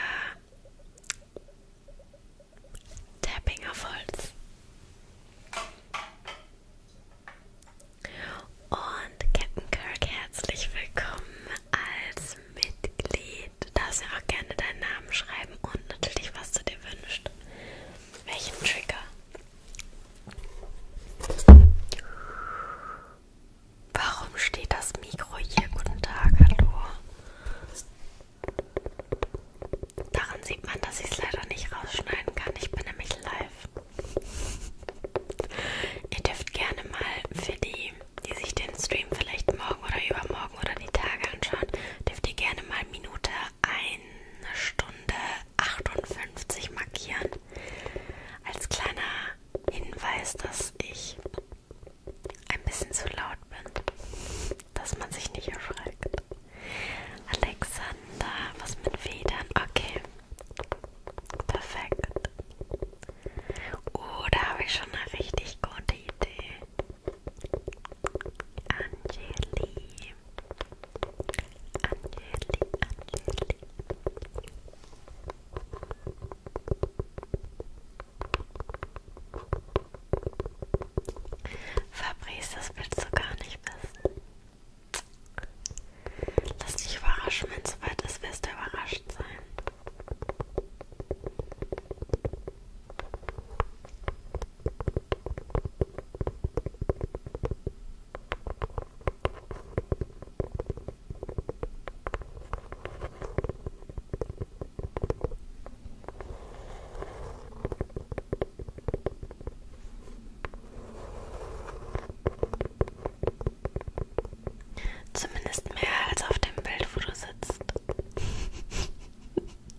Tapping auf Holz. Und Captain Kirk, herzlich willkommen als Mitglied. Du darfst ja auch gerne deinen Namen schreiben und natürlich, was du dir wünschst. Welchen Trigger? Warum steht das Mikro hier? Guten Tag, hallo. Daran sieht man, dass ich es leider nicht rausschneiden kann. Ich bin nämlich live. Ihr dürft gerne mal für die, die sich den Stream vielleicht morgen oder übermorgen oder die Tage anschauen, dürft ihr gerne mal Minute eine Stunde 58 markieren. Als kleiner Hinweis, dass ich ein bisschen zu laut bin, dass man sich nicht erschreckt. Alexander, was mit Federn? Okay, perfekt. Oh, da habe ich schon eine richtig gute Idee. Angeli. Angeli, Angeli. Fabrice, das willst du gar nicht wissen. Lass dich überraschen, wenn es soweit ist, wirst du überrascht sein. Zumindest mehr als auf dem Bild, wo du sitzt. <laughs>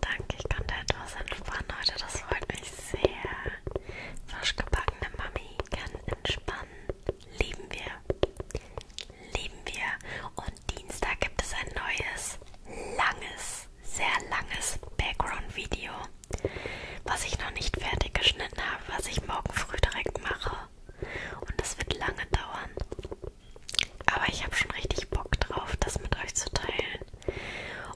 Danke, ich konnte etwas entspannen heute. Das freut mich sehr. Frisch gebackene Mami kann entspannen. Lieben wir. Lieben wir. Und Dienstag gibt es ein neues, langes, sehr langes Background-Video, was ich noch nicht fertig geschnitten habe, was ich morgen früh direkt mache. Und das wird lange dauern. Aber ich habe schon richtig Bock drauf, das mit euch zu teilen.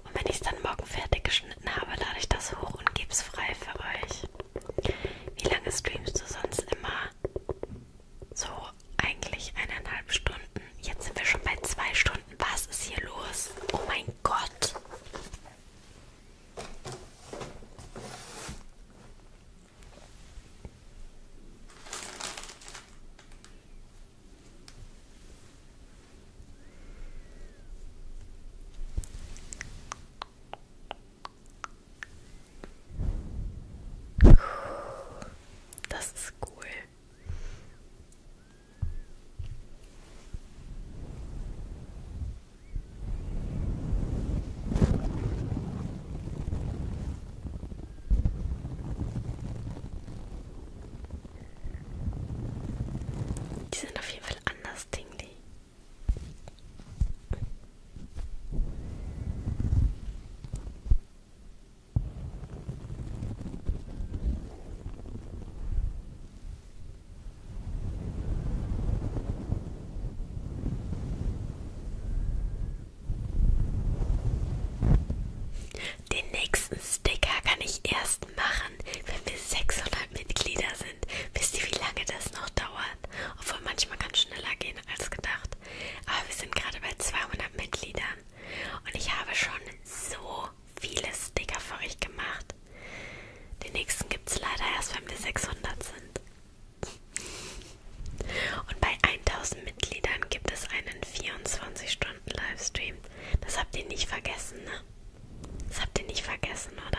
Und wenn ich es dann morgen fertig geschnitten habe, lade ich das hoch und gebe es frei für euch. Wie lange streamst du sonst immer? So, eigentlich eineinhalb Stunden. Jetzt sind wir schon bei zwei Stunden. Was ist hier los? Oh mein Gott. Das ist cool. Die sind auf jeden Fall anders tingly. Den nächsten Sticker kann ich erst machen, machen, wenn wir 600 Mitglieder sind. Wisst ihr, wie lange das noch dauert? Obwohl manchmal kann es schneller gehen als gedacht. Aber wir sind gerade bei 200 Mitgliedern. Und ich habe schon so viele Sticker für euch gemacht. Den nächsten gibt es leider erst, wenn wir 600 sind. Und bei 1000 Mitgliedern gibt es einen 24-Stunden-Livestream. Das habt ihr nicht vergessen, ne? Das habt ihr nicht vergessen, oder?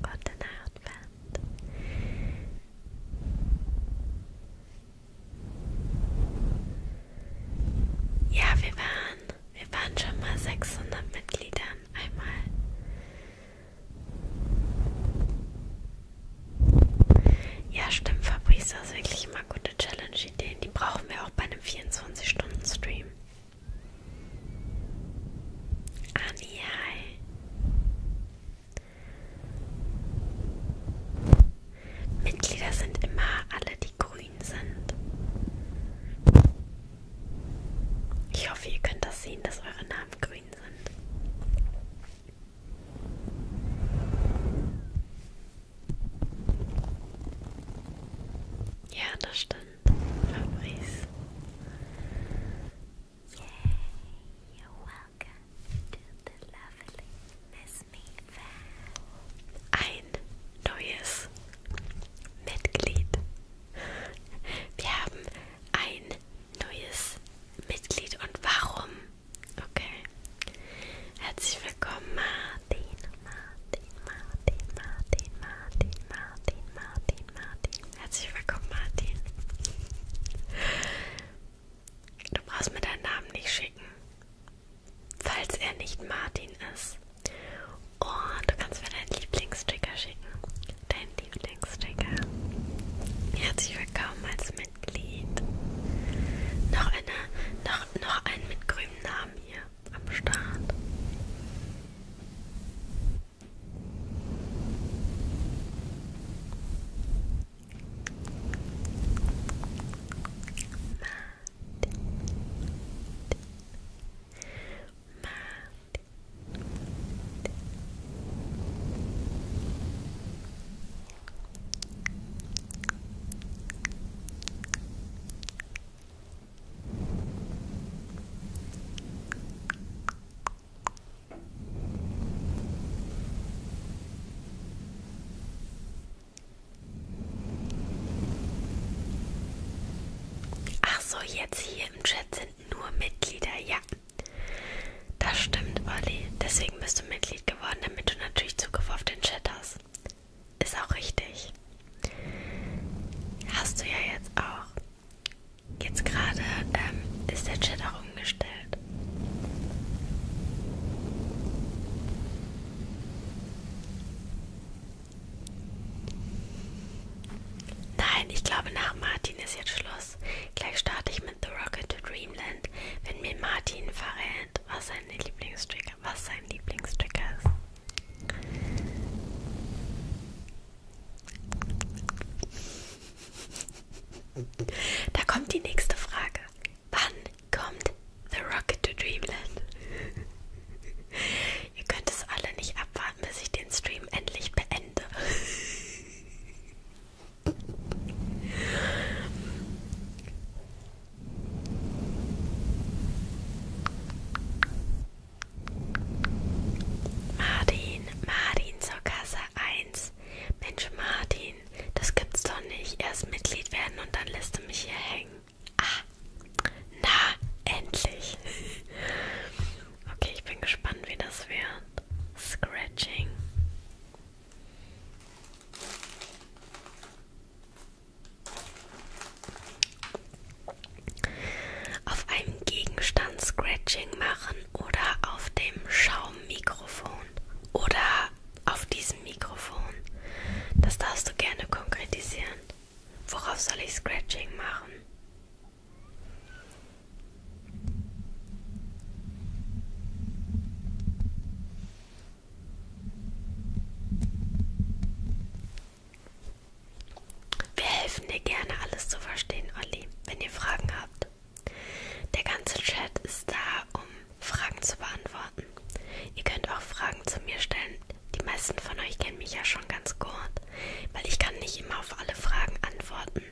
Gute Nacht, Band. Ja, wir waren, wir waren schon mal 600 Mitgliedern einmal. Ja, stimmt, Fabrice, das ist wirklich mal gute Challenge-Ideen. Die brauchen wir auch bei einem 24-Stunden-Stream. Anial. Mitglieder sind immer alle, die grün sind. Ich hoffe, ihr könnt das sehen, dass eure Namen grün sind. Ja, das stimmt. Fabrice. Yay, you're welcome to the lovely Miss Me Fan. Ein neues Mitglied. Wir haben ein neues Mitglied und warum? Okay. Herzlich willkommen, Martin. Martin, Martin, Martin, Martin, Martin, Martin, Martin. Herzlich willkommen, Martin. Du brauchst mir deinen Namen nicht schicken, falls er nicht Martin ist. Und oh, du kannst mir deinen Lieblingstrigger schicken. Dein Lieblingstrigger. Herzlich willkommen als Mitglied. Noch, eine, noch, noch einen mit grünem Namen hier am Start. Martin. Martin. Martin. Ach so, jetzt hier im Chat sind nur Mitglieder, ja. Das stimmt, Olli. Deswegen bist du Mitglied geworden, damit du natürlich Zugriff auf den Chat hast. Ist auch richtig. Hast du ja jetzt auch. Jetzt gerade ähm, ist der Chat auch umgestellt. Nein, ich glaube nach Martin ist jetzt Schluss. Gleich starte ich mit The Rocket to Dreamland, wenn mir Martin verrät, was sein Lieblingstrigger, was sein Lieblingstrigger ist. Da kommt die nächste Frage. Wann kommt The Rocket to Dreamland? Ihr könnt es alle nicht abwarten, bis ich den Stream endlich beende. Martin, Martin zur Kasse 1. Mensch, Martin, das gibt's doch nicht. Erst Mitglied werden und dann lässt du mich hier hängen. Ah, na, endlich. <laughs> okay, ich bin gespannt, wie das wird. Scratching. Auf einem Gegenstand Scratching machen oder auf dem Schaummikrofon oder auf diesem Mikrofon. Das darfst du gerne konkretisieren. Worauf soll ich Scratching machen? Wir helfen dir gerne, alles zu verstehen, Olli, wenn ihr Fragen habt. Der ganze Chat ist da, um Fragen zu beantworten. Ihr könnt auch Fragen zu mir stellen. Die meisten von euch kennen mich ja schon ganz gut, weil ich kann nicht immer auf alle Fragen antworten.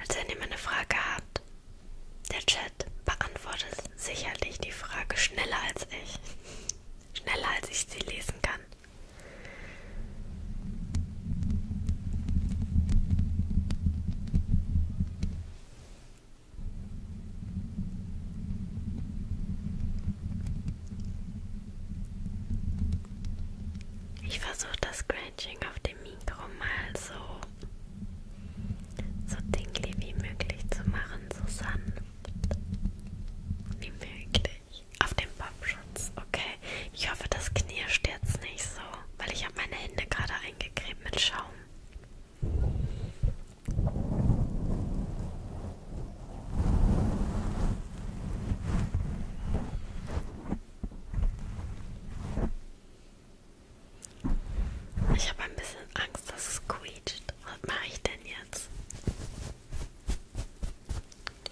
Also wenn ihr mal eine Frage habt, der Chat beantwortet sicherlich die Frage schneller als ich. Schneller als ich sie lesen kann. Ich versuche das Scratching auf dem Mikro mal so, so dingly wie möglich zu machen, so sanft wie möglich. Auf dem Popschutz, okay. Ich hoffe, das knirscht jetzt nicht so, weil ich habe meine Hände gerade eingecremt mit Schaum. Ich habe ein bisschen Angst, dass es quietscht. Was mache ich denn jetzt?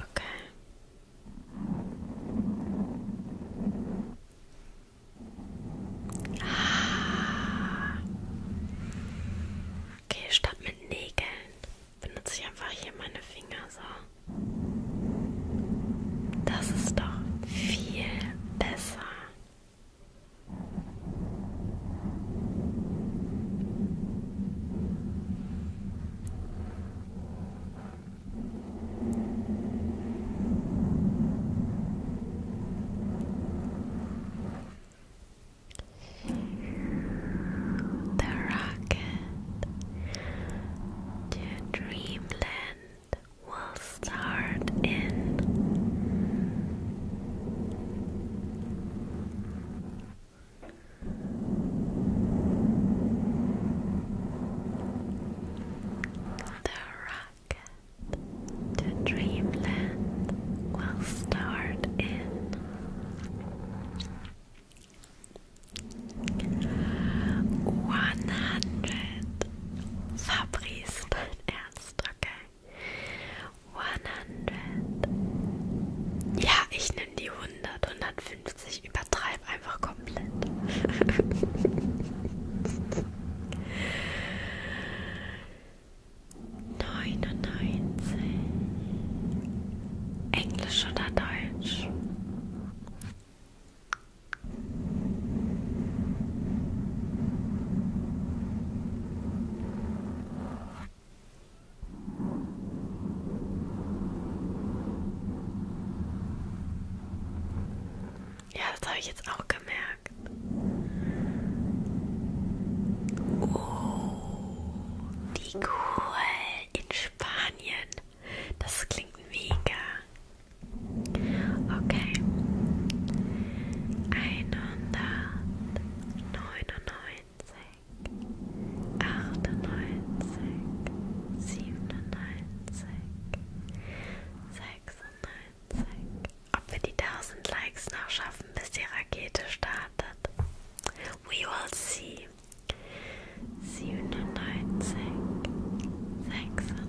Okay. Ah. Okay, statt mit Nägeln benutze ich einfach hier meine Finger so. Das ist doch viel besser. The rocket to dreamland will start in the rocket to dreamland will start in one hundred. Fabrice, Ernst, okay. 100. Ja, ich in die 100, 150. Übertreib einfach komplett. Neunundneunzig. Englisch oder Deutsch? Ja, das habe ich jetzt auch gemerkt. Oh, die cool in Spanien. Das klingt mega. Okay. 199 achtundneunzig, siebenundneunzig, sechsundneunzig. Ob wir die 1000 Likes noch schaffen, bis die Rakete startet. We will see. 97, 96, 95, 94.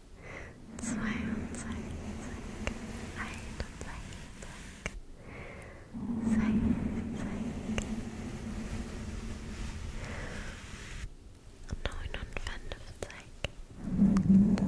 zwei und zeig, ein und zeig, zeig, zeig, zeig, neun und fünf, zeig. Acht und fünf, zeig. Neun und fünf, zeig.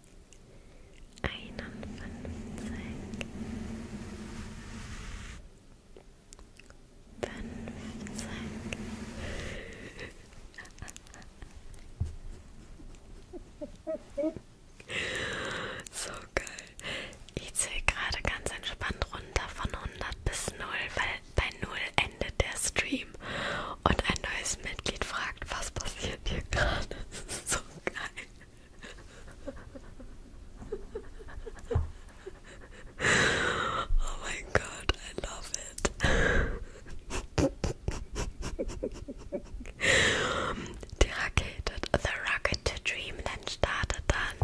einundfünfzig, fünfzig. So geil. Ich zähle gerade ganz entspannt runter von 100 bis 0, weil bei 0 endet der Stream. Team und ein neues Mitglied fragt, was passiert hier gerade. <laughs> Das ist so geil. Oh mein Gott, I love it. Die Rakete, The Rocket to Dream, dann startet dann.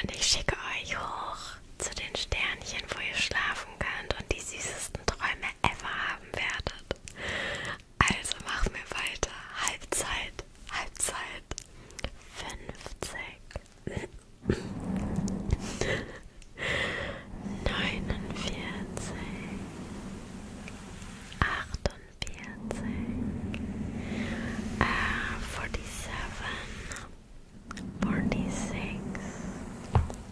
Und ich schicke euch hoch zu den Sternchen, wo ihr schlafen könnt und die süßesten besten Träume ever haben werdet. Also machen wir weiter. Halbzeit, Halbzeit 50. 49 48 uh, 47 46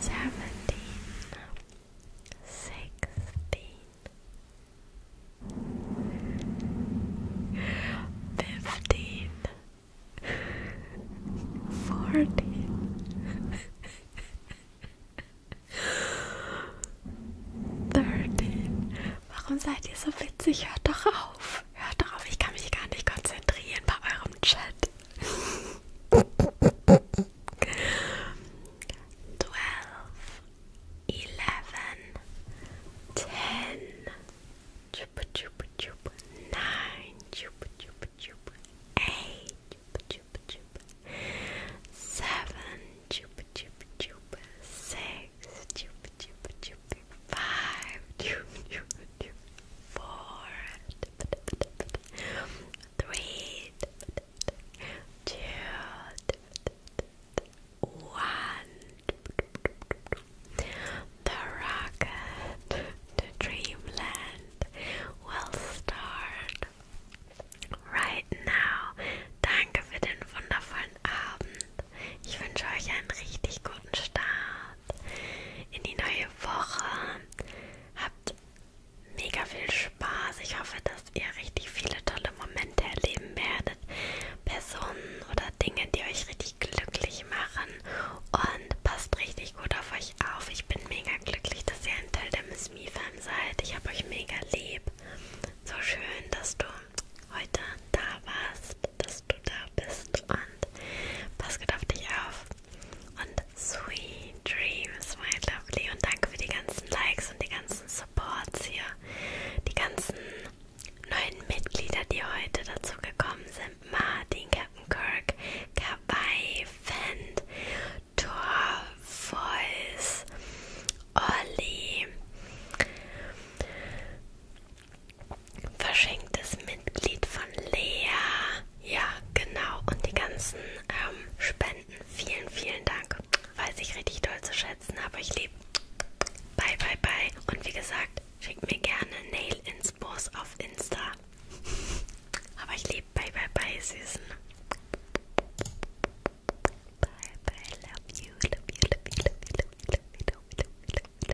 seventeen, sixteen, fifteen, fourteen, <laughs> thirteen. Warum seid ihr so witzig? Hört doch auf. Hört drauf, ich kann mich gar nicht konzentrieren bei eurem Chat. Twelve, eleven, ten, chupa chupa chupa, nine, chupa chupa chupa, eight, chupa chupa chupa, seven, chupa chupa chupa, six, chupa chupa chupa. five, four, three, two, one. The rocket to dreamland will start right now. Danke für den wundervollen Abend. Ich wünsche euch einen richtig guten Start in die neue Woche. Habt mega viel Spaß. Ich hoffe, dass ihr richtig viele tolle Momente erleben werdet. Personen oder Dinge, die euch richtig glücklich machen. Und passt richtig gut auf euch auf. Ich bin mega glücklich, dass ihr ein Teil der Miss Me Fam seid. Ich habe euch mega lieb. So schön, dass du heute da warst, dass du da bist. Und Abend. Pass gut auf dich auf. Und sweet dreams, my lovely. Und danke für die ganzen Likes und die ganzen Supports hier. Die ganzen neuen Mitglieder, die heute dazu gekommen sind. Martin, Captain Kirk, Kabai, Fend, Thor, Voice, Olli, verschenktes Mitglied von Lea. Ja, genau. Und die ganzen ähm, Spenden. Vielen, vielen Dank. Weiß ich richtig doll zu schätzen, aber ich liebe. Bye, bye, bye. Und wie gesagt, schickt mir gerne Nail Inspos auf Insta. Aber ich liebe Bye, bye, bye, Süßen. Bye, bye, love you, love you, love you, love you, love you, love you, love you, love you, love you.